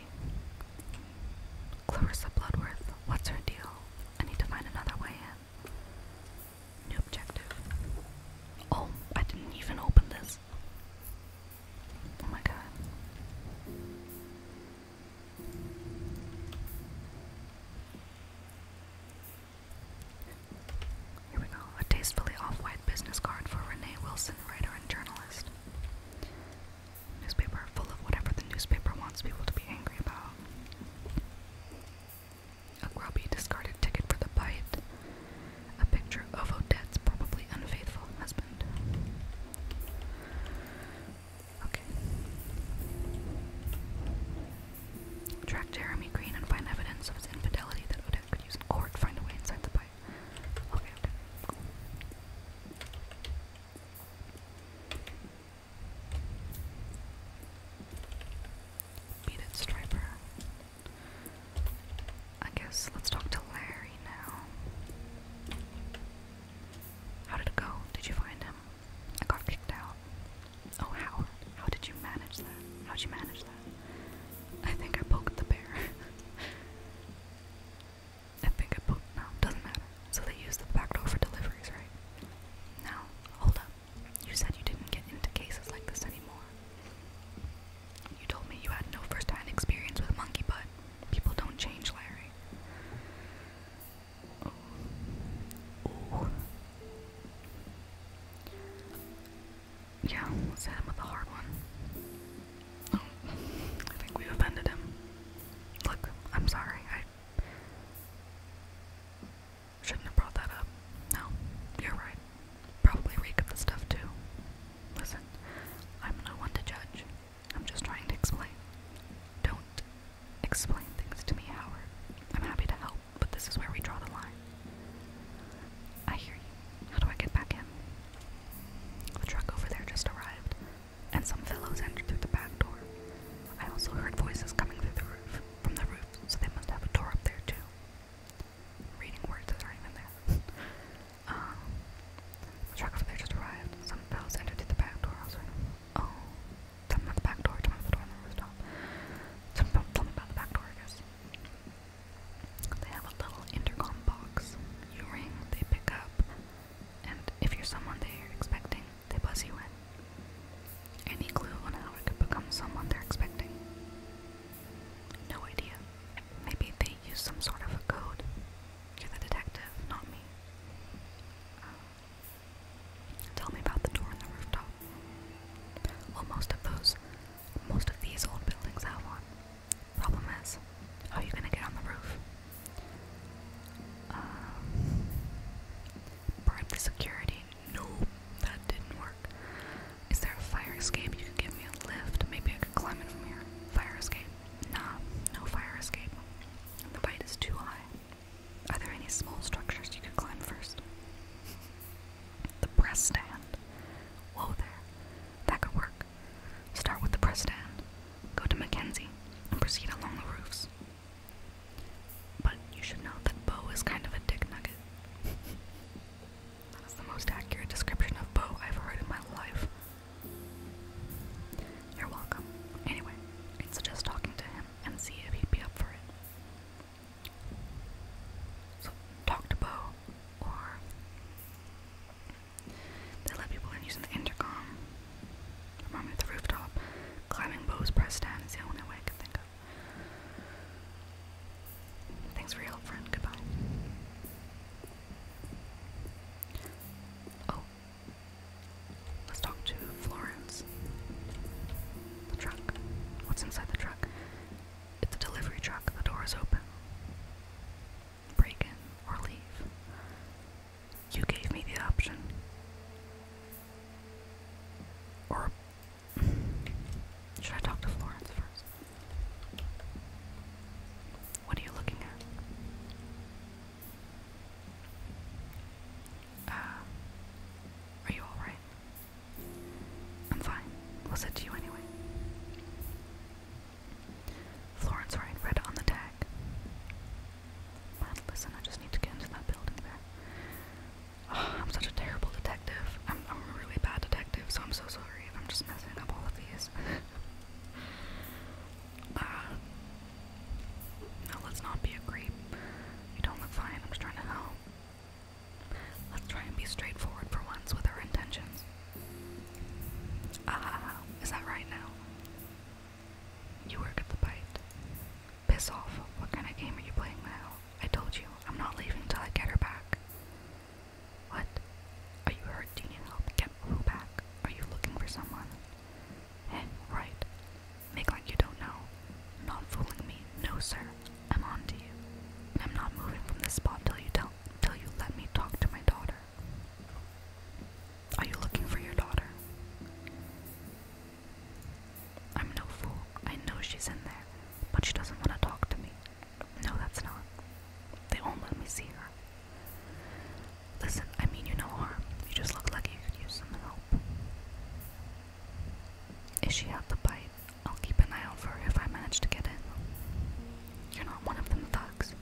Clarissa Bloodworth, what's her deal? I need to find another way in. New objective. Oh, I didn't even open this. Oh my god. Here we go. A tastefully off white business card for Renee Wilson, writer and journalist. Newspaper full of whatever the newspaper wants people to be angry about. A grubby discarded ticket for the bite. A picture of Odette's probably unfaithful husband. Okay. Track Jeremy Green and find evidence of his infidelity that Odette could use in court. Find a way inside the bite. Okay, Beat Striper. I guess let's talk to Larry now. How did it go? Did you find him? I got kicked out. Oh, how? How did you manage that? How'd you manage that? I think I poked the bear. I think I poked. No, doesn't matter. So they use the back door for deliveries, right? Now, hold up. You said you didn't get into cases like this anymore. You told me you had no first hand experience with monkey butt. People don't change, Larry. Ooh. Ooh. Yeah, let's hit him with a hard one. Oh, I think we offended him. Look, I'm sorry. Shouldn't have brought that up. No, you're right. Probably reek of the stuff too. Listen, I'm no one to judge. I'm just trying to explain. Don't explain things to me, Howard. I'm happy to help, but this is where we draw the line. I hear you. How do I get back in? The truck over there just arrived and some fellows entered through the back door. I also heard voices coming through the roof, from the roof, so they must have a door up there too. reading words that aren't there. um, truck over there just arrived. Some fellows entered through the back door. I oh, tell me the back door. Tell me the door on the rooftop. tell me about the back door, I guess. They have a little intercom box. You ring, they pick up, and if you're someone they're expecting, they buzz you in. Any clue on how it could become someone they're expecting? No idea. Maybe they use some sort of a code. You're the detective, not me. Uh, tell me about the door on the rooftop. Well, most of those, most of these old buildings have one. Problem is, how are you gonna get on the roof? Um, security. No, that didn't work. Is there a fire escape? You could give me a lift. Maybe I could climb in from here. Fire escape. Nah, no fire escape. The bite is too high. Are there any small structures you could climb first? The press stand. Whoa there. That could work. Start with the press stand. Go to Mackenzie and proceed along the roofs. But you should know that Bo is kind of a dick nugget. That's the most accurate description of Bo I've heard in my life. You're welcome. Anyway, i suggest talking to him and see if he'd be up for it. So, talk to Bo, or they let people in using the intercom. I'm on the rooftop. Climbing bows pressed down is the only way I can think of. Thanks for your help, friend. Goodbye. Oh. Let's talk to Florence. The truck. What's inside the truck? It's a delivery truck. The door is open. Break in or leave. You gave me the option. Or should I talk to Florence first? What are you looking at? Uh, are you alright? I'm fine. We'll to you anyway. Florence writing red on the tag listen, I just need to get into that building there. Ah, I'm such a terrible detective. I'm, a really bad detective, so I'm so sorry I'm just messing up all of these. Uh, no, let's not be a creep. You don't look fine, I'm just trying to help. Let's try and be straightforward for once with our intentions. Ah, is that right now? You work at the bite. Piss off. What kind of game are you playing now? I told you, I'm not leaving till I get her back. What? Are you hurt? Do you need help? Get who back? Are you looking for someone? Eh, right. Make like you don't know. Not fooling me. No, sir. I'm on to you. I'm not moving from this spot till you tell till you let me talk to my daughter. Are you looking for your daughter? I'm no fool. I know she's in there, but she doesn't want to talk to me. No, that's not. They won't let me see her. Listen, I mean you no harm. You just look like you could use some help. If she had the bite, I'll keep an eye out for her if I manage to get in. You're not one of them thugs.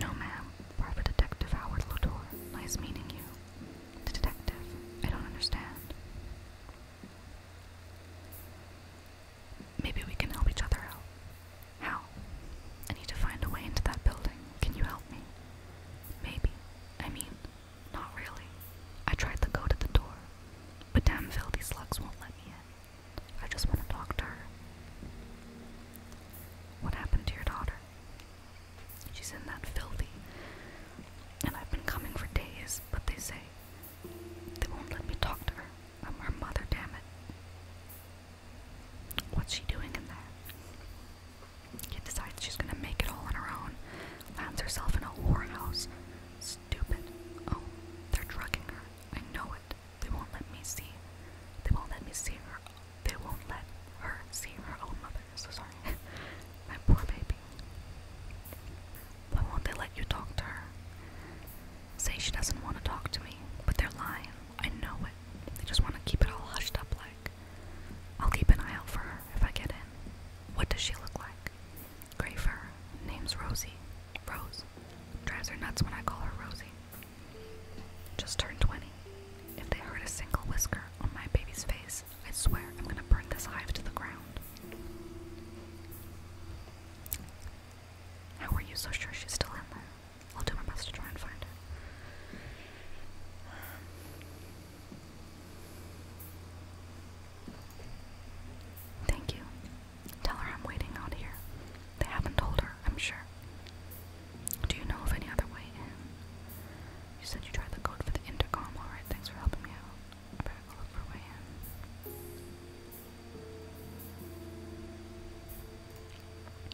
No, ma'am. Private Detective Howard Lodore. Nice meeting you. The detective. I don't understand. Maybe we can help each other out. How? I need to find a way into that building. Can you help me? Maybe. I mean, not really. I tried to go to the door, but damn filthy slugs won't let me in. I just want to talk to her. What happened to your daughter? She's in that filthy. And I've been coming for days, but they say they won't let me talk to her. I'm her mother, damn it. What's she doing in there? She decides she's gonna make it all on her own. Finds herself in a whorehouse. Stupid. Oh, they're drugging her. I know it. They won't let me see. They won't let me see her. They won't let her see her own mother. So sorry. My poor baby. Why won't they let you talk to her? Say she doesn't want to talk to me, but they're lying. I know it. They just want to keep it all hushed up like. I'll keep an eye out for her if I get in. What does she look like? Gray fur. Name's Rosie. Rose. Drives her nuts when I call her Rosie. Just turned 20. If they hurt a single whisker on my baby's face, I swear I'm gonna burn this hive to the ground. How are you so sure she's still in there? I'll do my best to try and find her. Thank you. Tell her I'm waiting out here. They haven't told her I'm sure. Do you know of any other way You said you tried the code for the intercom. Alright, thanks for helping me out.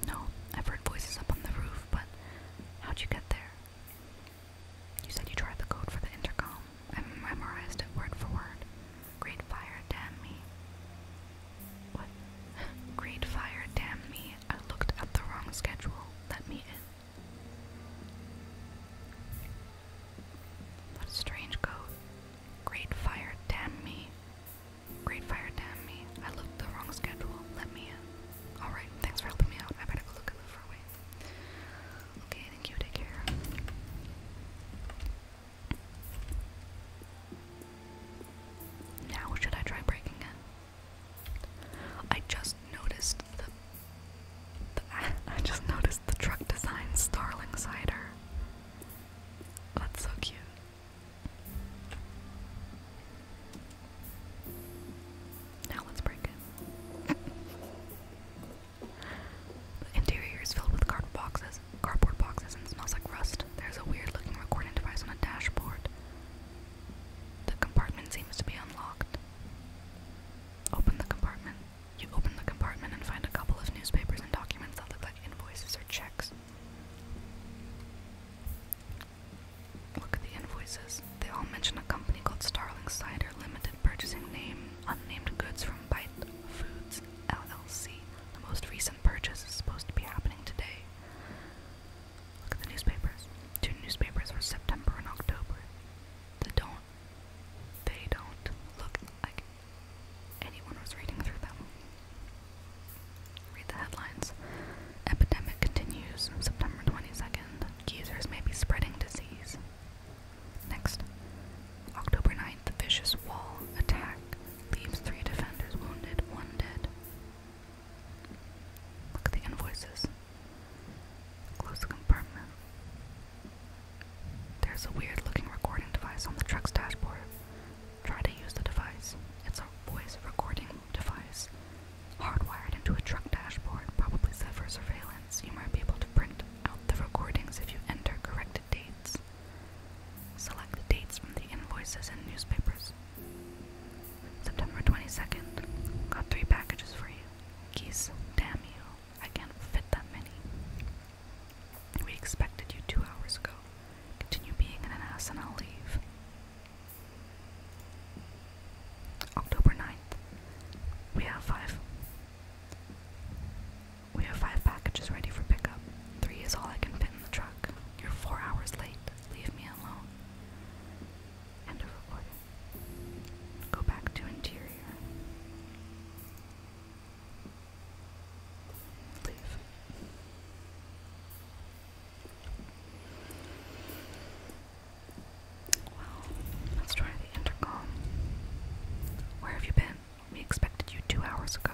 No, I've heard voices up on the roof, but how'd you get there? You said you tried the code for the intercom. I memorized it word for word. Great fire, damn me. Great fire, damn me. I looked at the wrong schedule. Let me in. What a strange code. Great fire, damn me. Great fire, damn me. I looked the wrong schedule. Let me in. Alright, thanks for helping me out. I better go look at the far away. Okay, thank you. Take care. Now, should I try breaking it? I just noticed the, I just noticed the truck design starling cider. That's so cute. Now let's break it. the interior is filled with cardboard boxes, cardboard boxes, and smells like rust. There's a weird-looking recording device on a dashboard. The compartment seems to be unlocked. Open the compartment. You open the compartment and find a couple of newspapers and documents that look like invoices or checks. Look at the invoices. They all mention a company called Starling Cider Limited purchasing name unnamed goods from Bite Foods LLC. The most recent purchase is supposed to be happening today. Look at the newspapers. Two newspapers for September and October. They don't. They don't look like anyone was reading through them. Read the headlines. Epidemic continues. September 22nd. Users may be spreading disease. Next. October 9th. Vicious wall attack leaves three defenders wounded, one dead. Look at the invoices. Close the There's a weird looking recording device on the truck's dashboard. Try to use the device. It's a voice recording device. Hardwired into a truck dashboard, probably set for surveillance. You might be able to print out the recordings if you enter corrected dates. Select the dates from the invoices and newspapers. September 22nd. Got three packages for you. Geese, damn you. I can't fit that many. We expected you two hours ago. Continue being an ass and I'll leave. October 9th. We have five. We have five packages ready for pickup. Three is all I can fit in the truck. You're four hours late. Leave me alone. End of recording. Go back to interior. Leave. Well, let's try the intercom. Where have you been? We expected you two hours ago.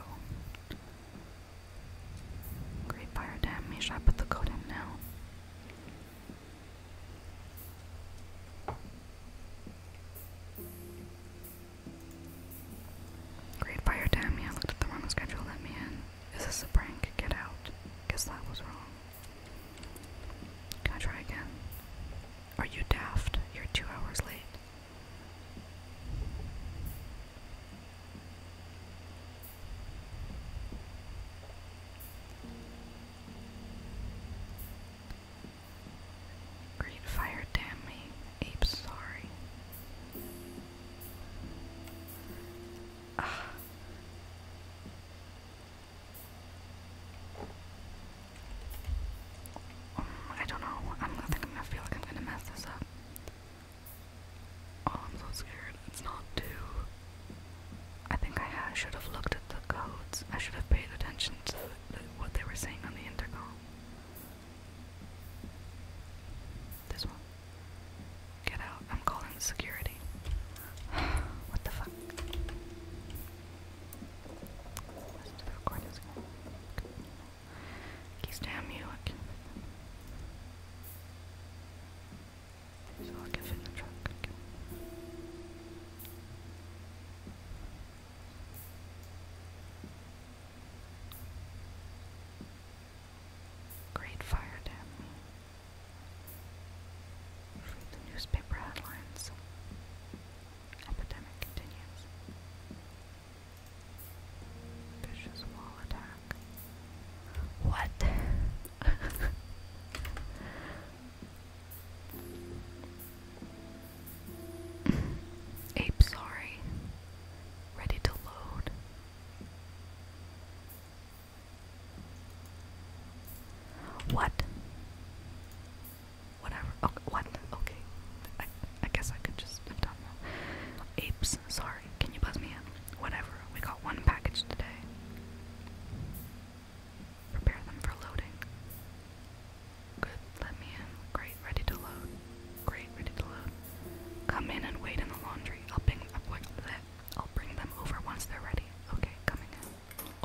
Great fire damage. Should I put the code in now? Great fire damn me, I looked at the wrong schedule, let me in. Is this a prank? Get out. Guess that was wrong. Can I try again? Are you daft? You're two hours late. Green fire, damn me. Ape, sorry. Ah. Um, I don't know. I'm, I think I'm gonna feel like I'm gonna mess this up. Oh, I'm so scared. It's not two. I think I should have looked at the codes. I should have paid attention to what they were saying on the intercom. This one. Get out. I'm calling security. what the fuck? Listen to recording. Keys damn you. I'll give it a try. Okay. Great fire damn. Read the newspaper headlines. Epidemic continues. Vicious wall attack. What? Ape, sorry. Ready to load. What? Whatever. Okay, what? Okay. I, guess I could just Apes, sorry can you buzz me in? Whatever, we got one package today. Prepare them for loading. Good, let me in. Great, ready to load. Great, ready to load. Come in and wait in the laundry. I'll bring up I'll bring them over once they're ready. Okay, coming in.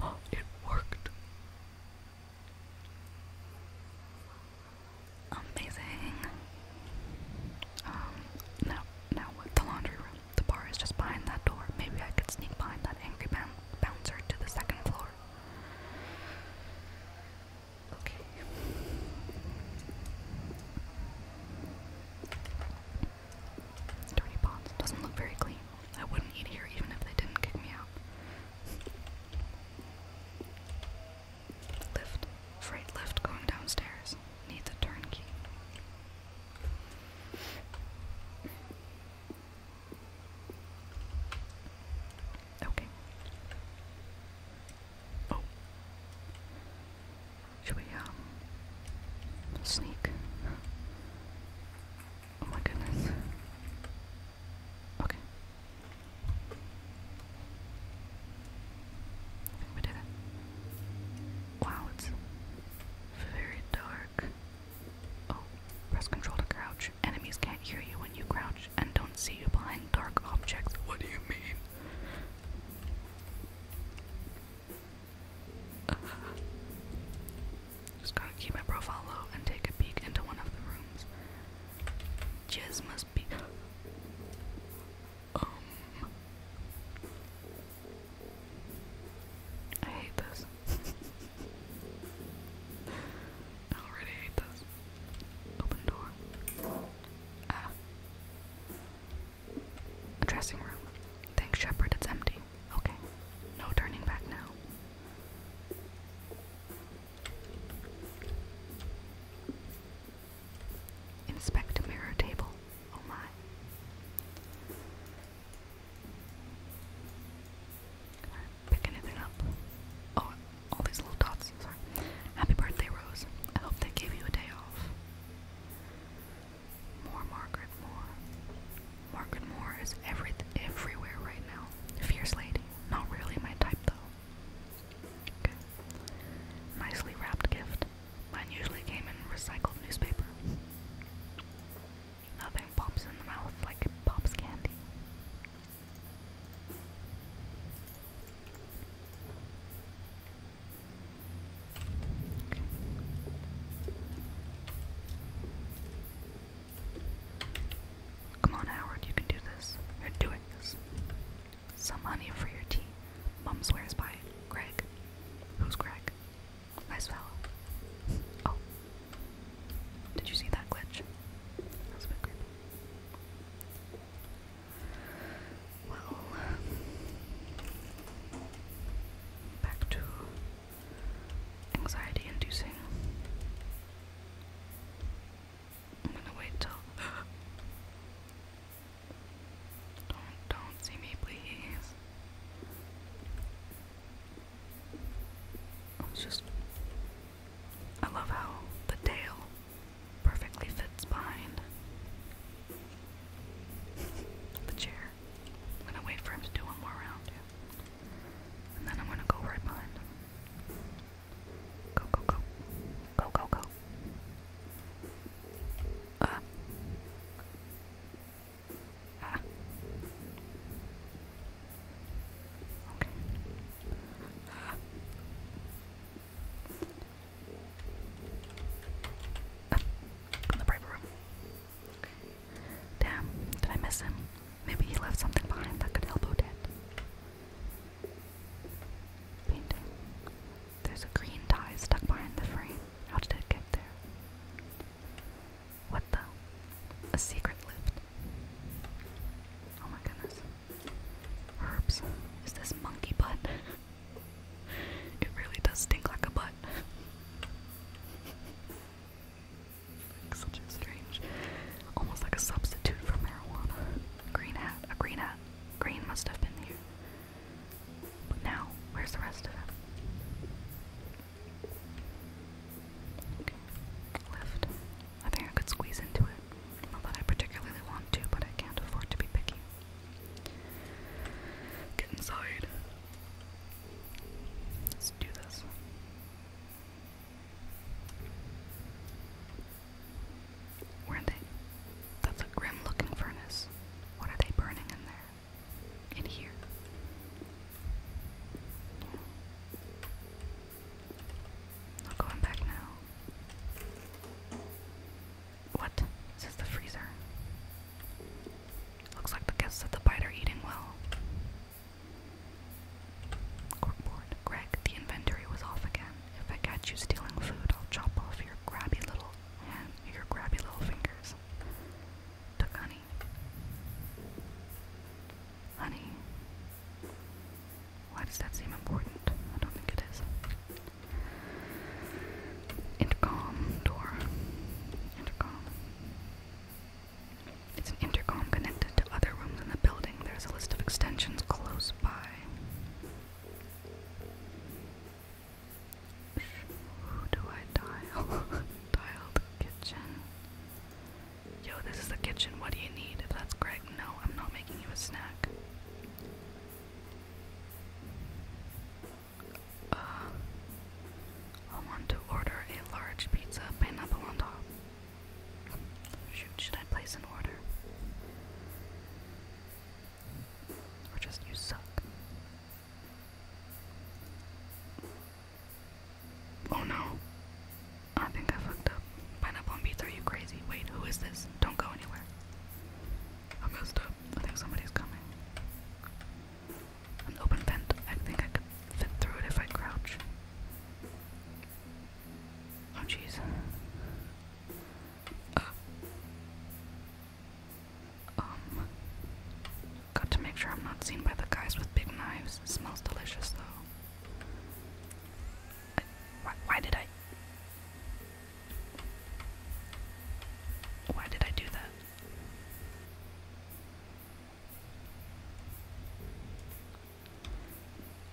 Oh, it worked. Amazing. Um, now, now what? The laundry room. The bar is just behind that door. Maybe I could sneak behind that angry boun bouncer to the second floor. Okay. Dirty pots. Doesn't look very clean. I wouldn't eat here even if they didn't kick me out. Lift. Freight lift going downstairs. Needs a turnkey. Okay. Oh. Should we, um, sneak? Oh my goodness. Okay. We did it. Wow, it's very dark. Oh, press control to crouch. Enemies can't hear you when you crouch and don't see you behind dark objects. What do you mean? just gotta keep my profile low and take a peek into one of the rooms. Jizz must be. Um, I hate this. I already hate this. Open door. Ah. A dressing room. Thanks, Shepard, it's empty. Okay. No turning back now. Inspect a mirror table. Oh my. Can I up? Oh, all these little dots. Sorry. Happy birthday, Rose. I hope they gave you a day off. More Margaret Moore. Margaret Moore is every everywhere right now. Fierce lady. Not really my type though. Okay. Nicely wrapped gift. Mine usually came in recycled newspaper. Nothing pops in the mouth like pops candy. Come on, Howard, you can do this. You're doing this. Some honey for your tea. Mum swears by it. Greg. Who's Greg? Nice as well. Oh. Did you see that glitch? That a bit creepy. Well, back to anxiety inducing. I'm gonna wait till. Don't, don't see me, please. just. I love how the tail perfectly fits behind the chair. I'm gonna wait for him to do one more round, And then I'm gonna go right behind him. Go, go, go. Go, go, go. Ah. Damn, did I miss him? Maybe he left something behind that could help Odette. Painting. There's a green tie stuck behind the frame. How did it get there? What the? A secret lift. Oh my goodness. Herbs. Is this monkey butt? it really does stink like a butt. such a strange, almost like a substitute for marijuana. Green hat, a green hat. Green must have been here now, where's the rest of it? left. I think I could squeeze into it. Not that I particularly want to, but I can't afford to be picky. Get inside. Let's do this. Where are they? That's a grim looking furnace. What are they burning in there? In here. Not going back now. What? Is this the freezer? Looks like the guests at the bite eating well. Corkboard, Greg, the inventory was off again. If I catch you stealing food, I'll chop off your grabby little hand, your grabby little fingers honey. Honey. Why does that seem important? I don't think it is. Intercom door. Intercom. It's an intercom connected to other rooms in the building. There's a list of extensions close by. Who do I dial? dial the kitchen. Yo, this is the kitchen. What do you need? If that's Greg, no, I'm not making you a snack. Uh, I want to order a large pizza, pineapple on top. Shoot, should I place an order? Or just you suck? Oh no. I think I fucked up. Pineapple on B3, you crazy. Wait, who is this? Don't go anywhere. I up. I think somebody's coming. An open vent. I think I could fit through it if I crouch. Oh jeez. Uh, um, got to make sure I'm not seen by the guys with big knives. smells delicious though. why did I? Why did I do that?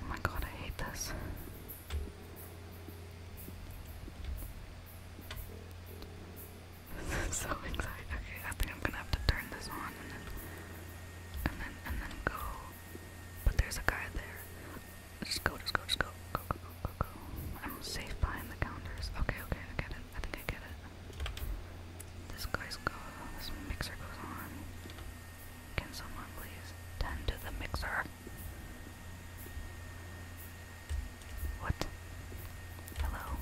Oh my god, I hate this. This is so exciting. Okay, I think I'm gonna have to turn this on and then and then and then go. But there's a guy there. Just go, just go, just go. Go, go, go, go, go. I'm safe behind the counters. Okay, okay, I get it. I think I get it. This guy's go this mixer goes on. Can someone please tend to the mixer? What? Hello?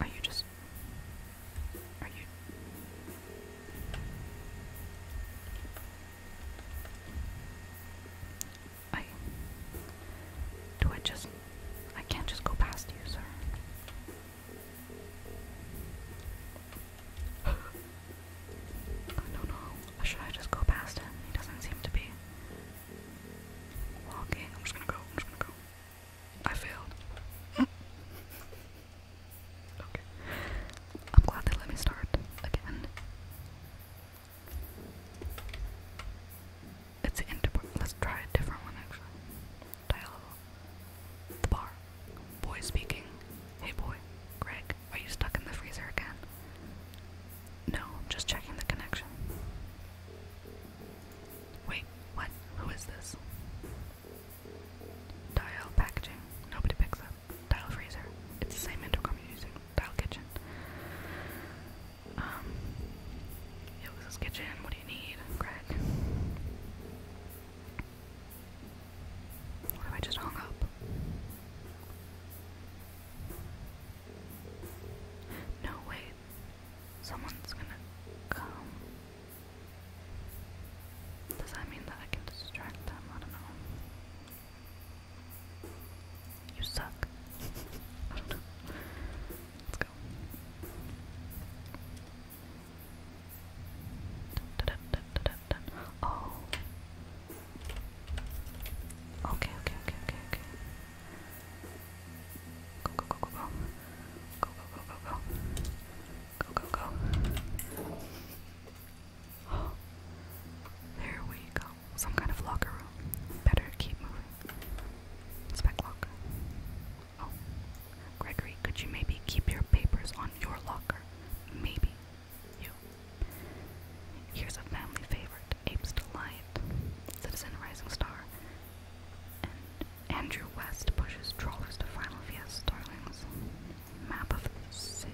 Are you just. Are you. I. Do I just. I can't just go past you, sir. I don't know. should I just go past him? He doesn't seem to be walking. I'm just gonna go. I'm just gonna go. I failed. okay. I'm glad they let me start again. It's an Let's try a different one actually. Dial the bar. Boy speaking. Hey boy. Greg. Are you stuck in the freezer again? No, just checking the connection. Wait, what? Who is this? Dial packaging. Nobody picks up. Dial freezer. It's the same intercom you're using. Dial kitchen. Um, yo, this is kitchen. What do you need, Greg? What if I just hung up? No, wait. Someone's gonna come. Does that mean that I can distract them? I don't know. You suck. I don't know. Let's go. Oh. Okay, okay, okay, okay, okay. Go, go, go, go, go. Go, go, go, go, go. Go, go, Oh, there we go. Some kind of locker room. Better keep moving. Spec locker. Oh, Gregory, could you maybe keep your papers on your locker? Maybe you. Here's a family favorite, Apes Delight, Citizen Rising Star, and Andrew West pushes trawlers to final via Starlings. Map of the city.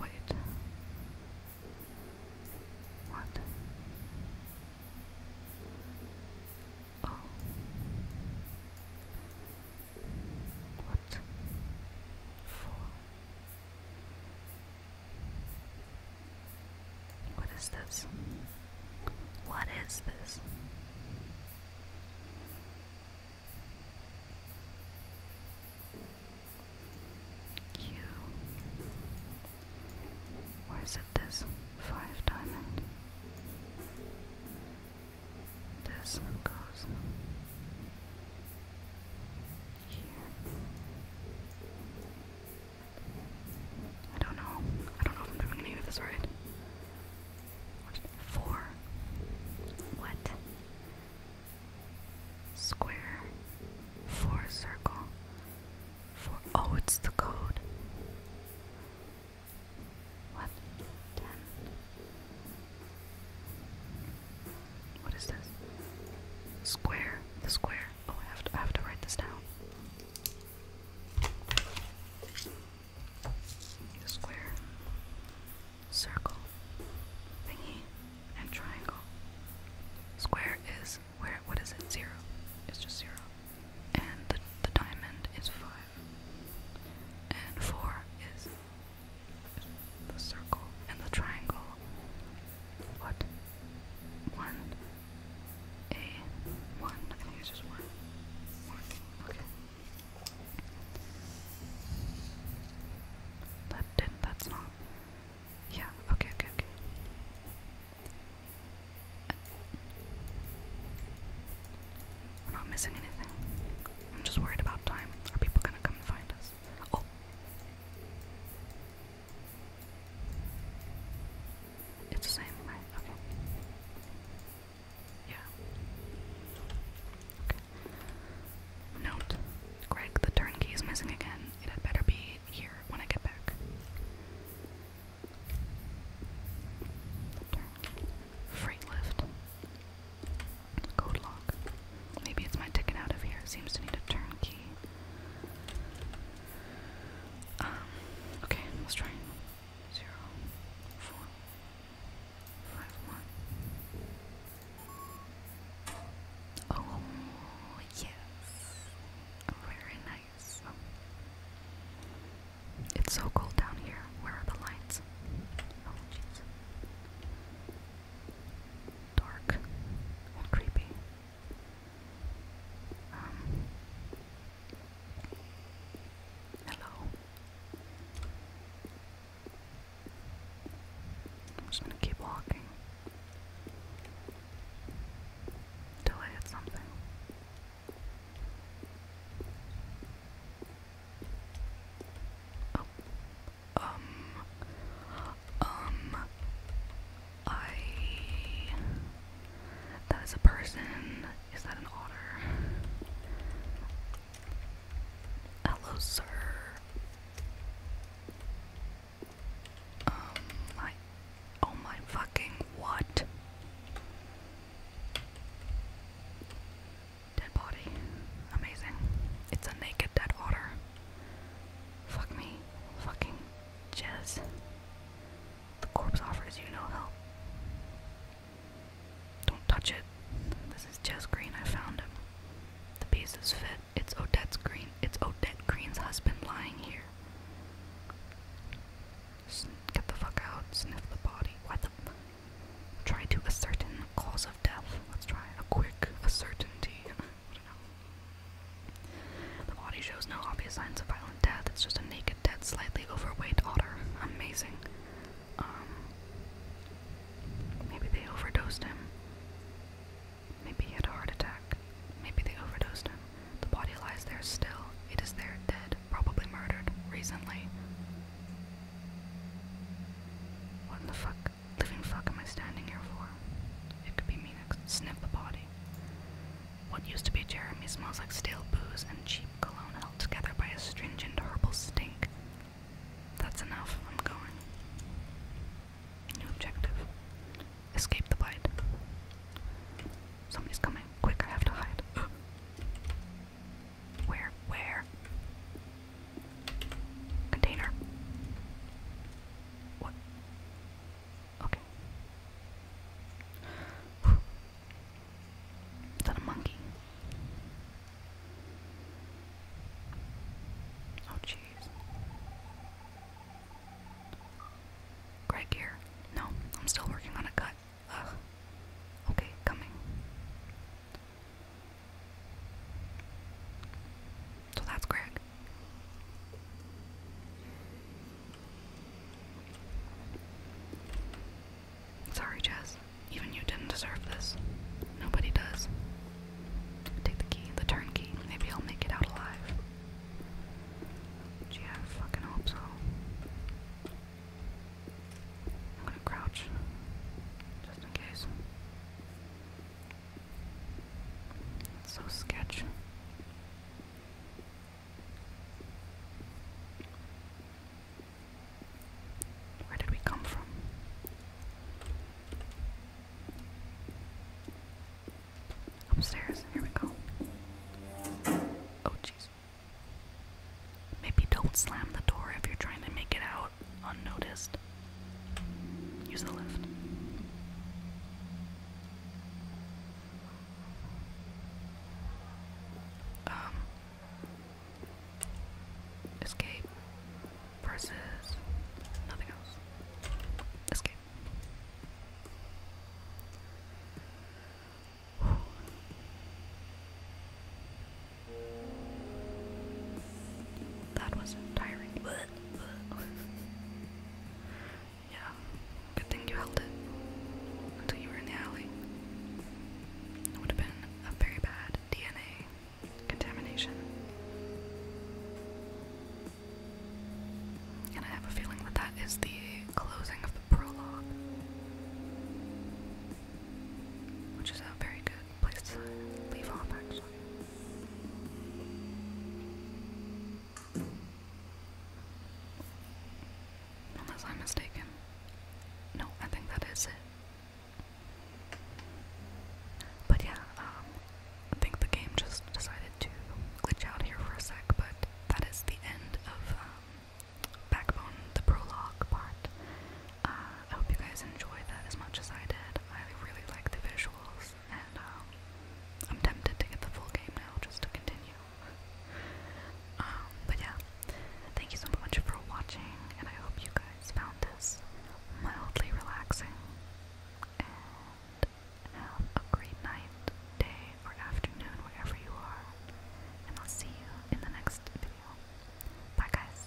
Wait. What? Oh. What? For? What is this? What is this? Where is it? This five diamond this one goes here. I don't know. I don't know if I'm doing any of this right. Four. What? Square. Four circle. Four. Oh, it's the code. What? Ten. What is this? Square. The square. Oh, I have to, I have to write this down. The square, circle, thingy, and triangle. Square is where? What is it? Zero. It's just zero. And the, the diamond is five. And four is the circle and the triangle. What? One. A. One. I think it's just one. One. Okay. That did. That's not. Yeah. Okay. Okay. Okay. am not missing anything. I'm just worried about time. Are people gonna come and find us? Oh. It's the same, right? Okay. Yeah. Okay. Note. Greg, the turnkey is missing again. It had better be here when I get back. Freight lift. Code lock. Maybe it's my ticket out of here. seems to need a turnkey. Um, okay, let's try. Zero, four, five, one. Oh, yes. Very nice. It's so cold down here. Where are the lights? Oh, jeez dark and creepy. Um, hello. I'm just gonna keep walking till I hit something. Oh um, um, I, that is a person, is that an otter? Hello, sir. Um, I, oh my fucking what? Dead body. Amazing. It's a naked dead otter. Fuck me. Fucking Jez. The corpse offers you no help. Don't touch it. This is Jez Green. I found him. The piece fit. It's Odette's Green. It's Odette Green's husband lying here. Get the fuck out. Sniff the body. Try to ascertain the cause Let's try a quick, certainty. The body shows no obvious signs of violent death. It's just a naked, dead, slightly overweight otter. Amazing. Um, maybe they overdosed him. Maybe he had a heart attack. Maybe they overdosed him. The body lies there still. It is there, dead, probably murdered recently. What in the fuck? living fuck am I standing here for? It could be me next. Sniff the body. What used to be Jeremy smells like stale booze and cheap cologne held together by a and herbal stink. That's enough. I'm going. New objective. Escape the bite. Somebody's coming. Quick, I have to hide. Where? Where? Container. What? Okay. Is that a monkey? Oh, jeez. Greg here. No, I'm still working on a cut. Ugh. Okay, coming. So that's Greg. Sorry, Jess. Even you didn't deserve this. Nobody does. Take the key, the turnkey. Maybe he'll make it out alive. Gee, I fucking hope so. I'm gonna crouch. Just in case. That's so sketch. Where did we come from? Upstairs, here we go. Oh, jeez. Maybe don't slam the door if you're trying to make it out unnoticed. Use the lift. Um, escape versus nothing else. Escape. That was tiring. yeah, good thing you held it until you were in the alley. It would have been a very bad DNA contamination. And I have a feeling that that is the closing of the prologue, which is a very good place to leave off, actually. Unless I'm mistaken. No, I think that is it. But yeah, um, I think the game just decided to glitch out here for a sec, but that is the end of um, Backbone, the prologue part. I hope you guys enjoyed that as much as I did. I really like the visuals, and um, I'm tempted to get the full game now just to continue. Um, but yeah, thank you so much for watching, and I hope you guys found this mildly relaxing. And have a great night, day, or afternoon, wherever you are. And I'll see you in the next video. Bye, guys.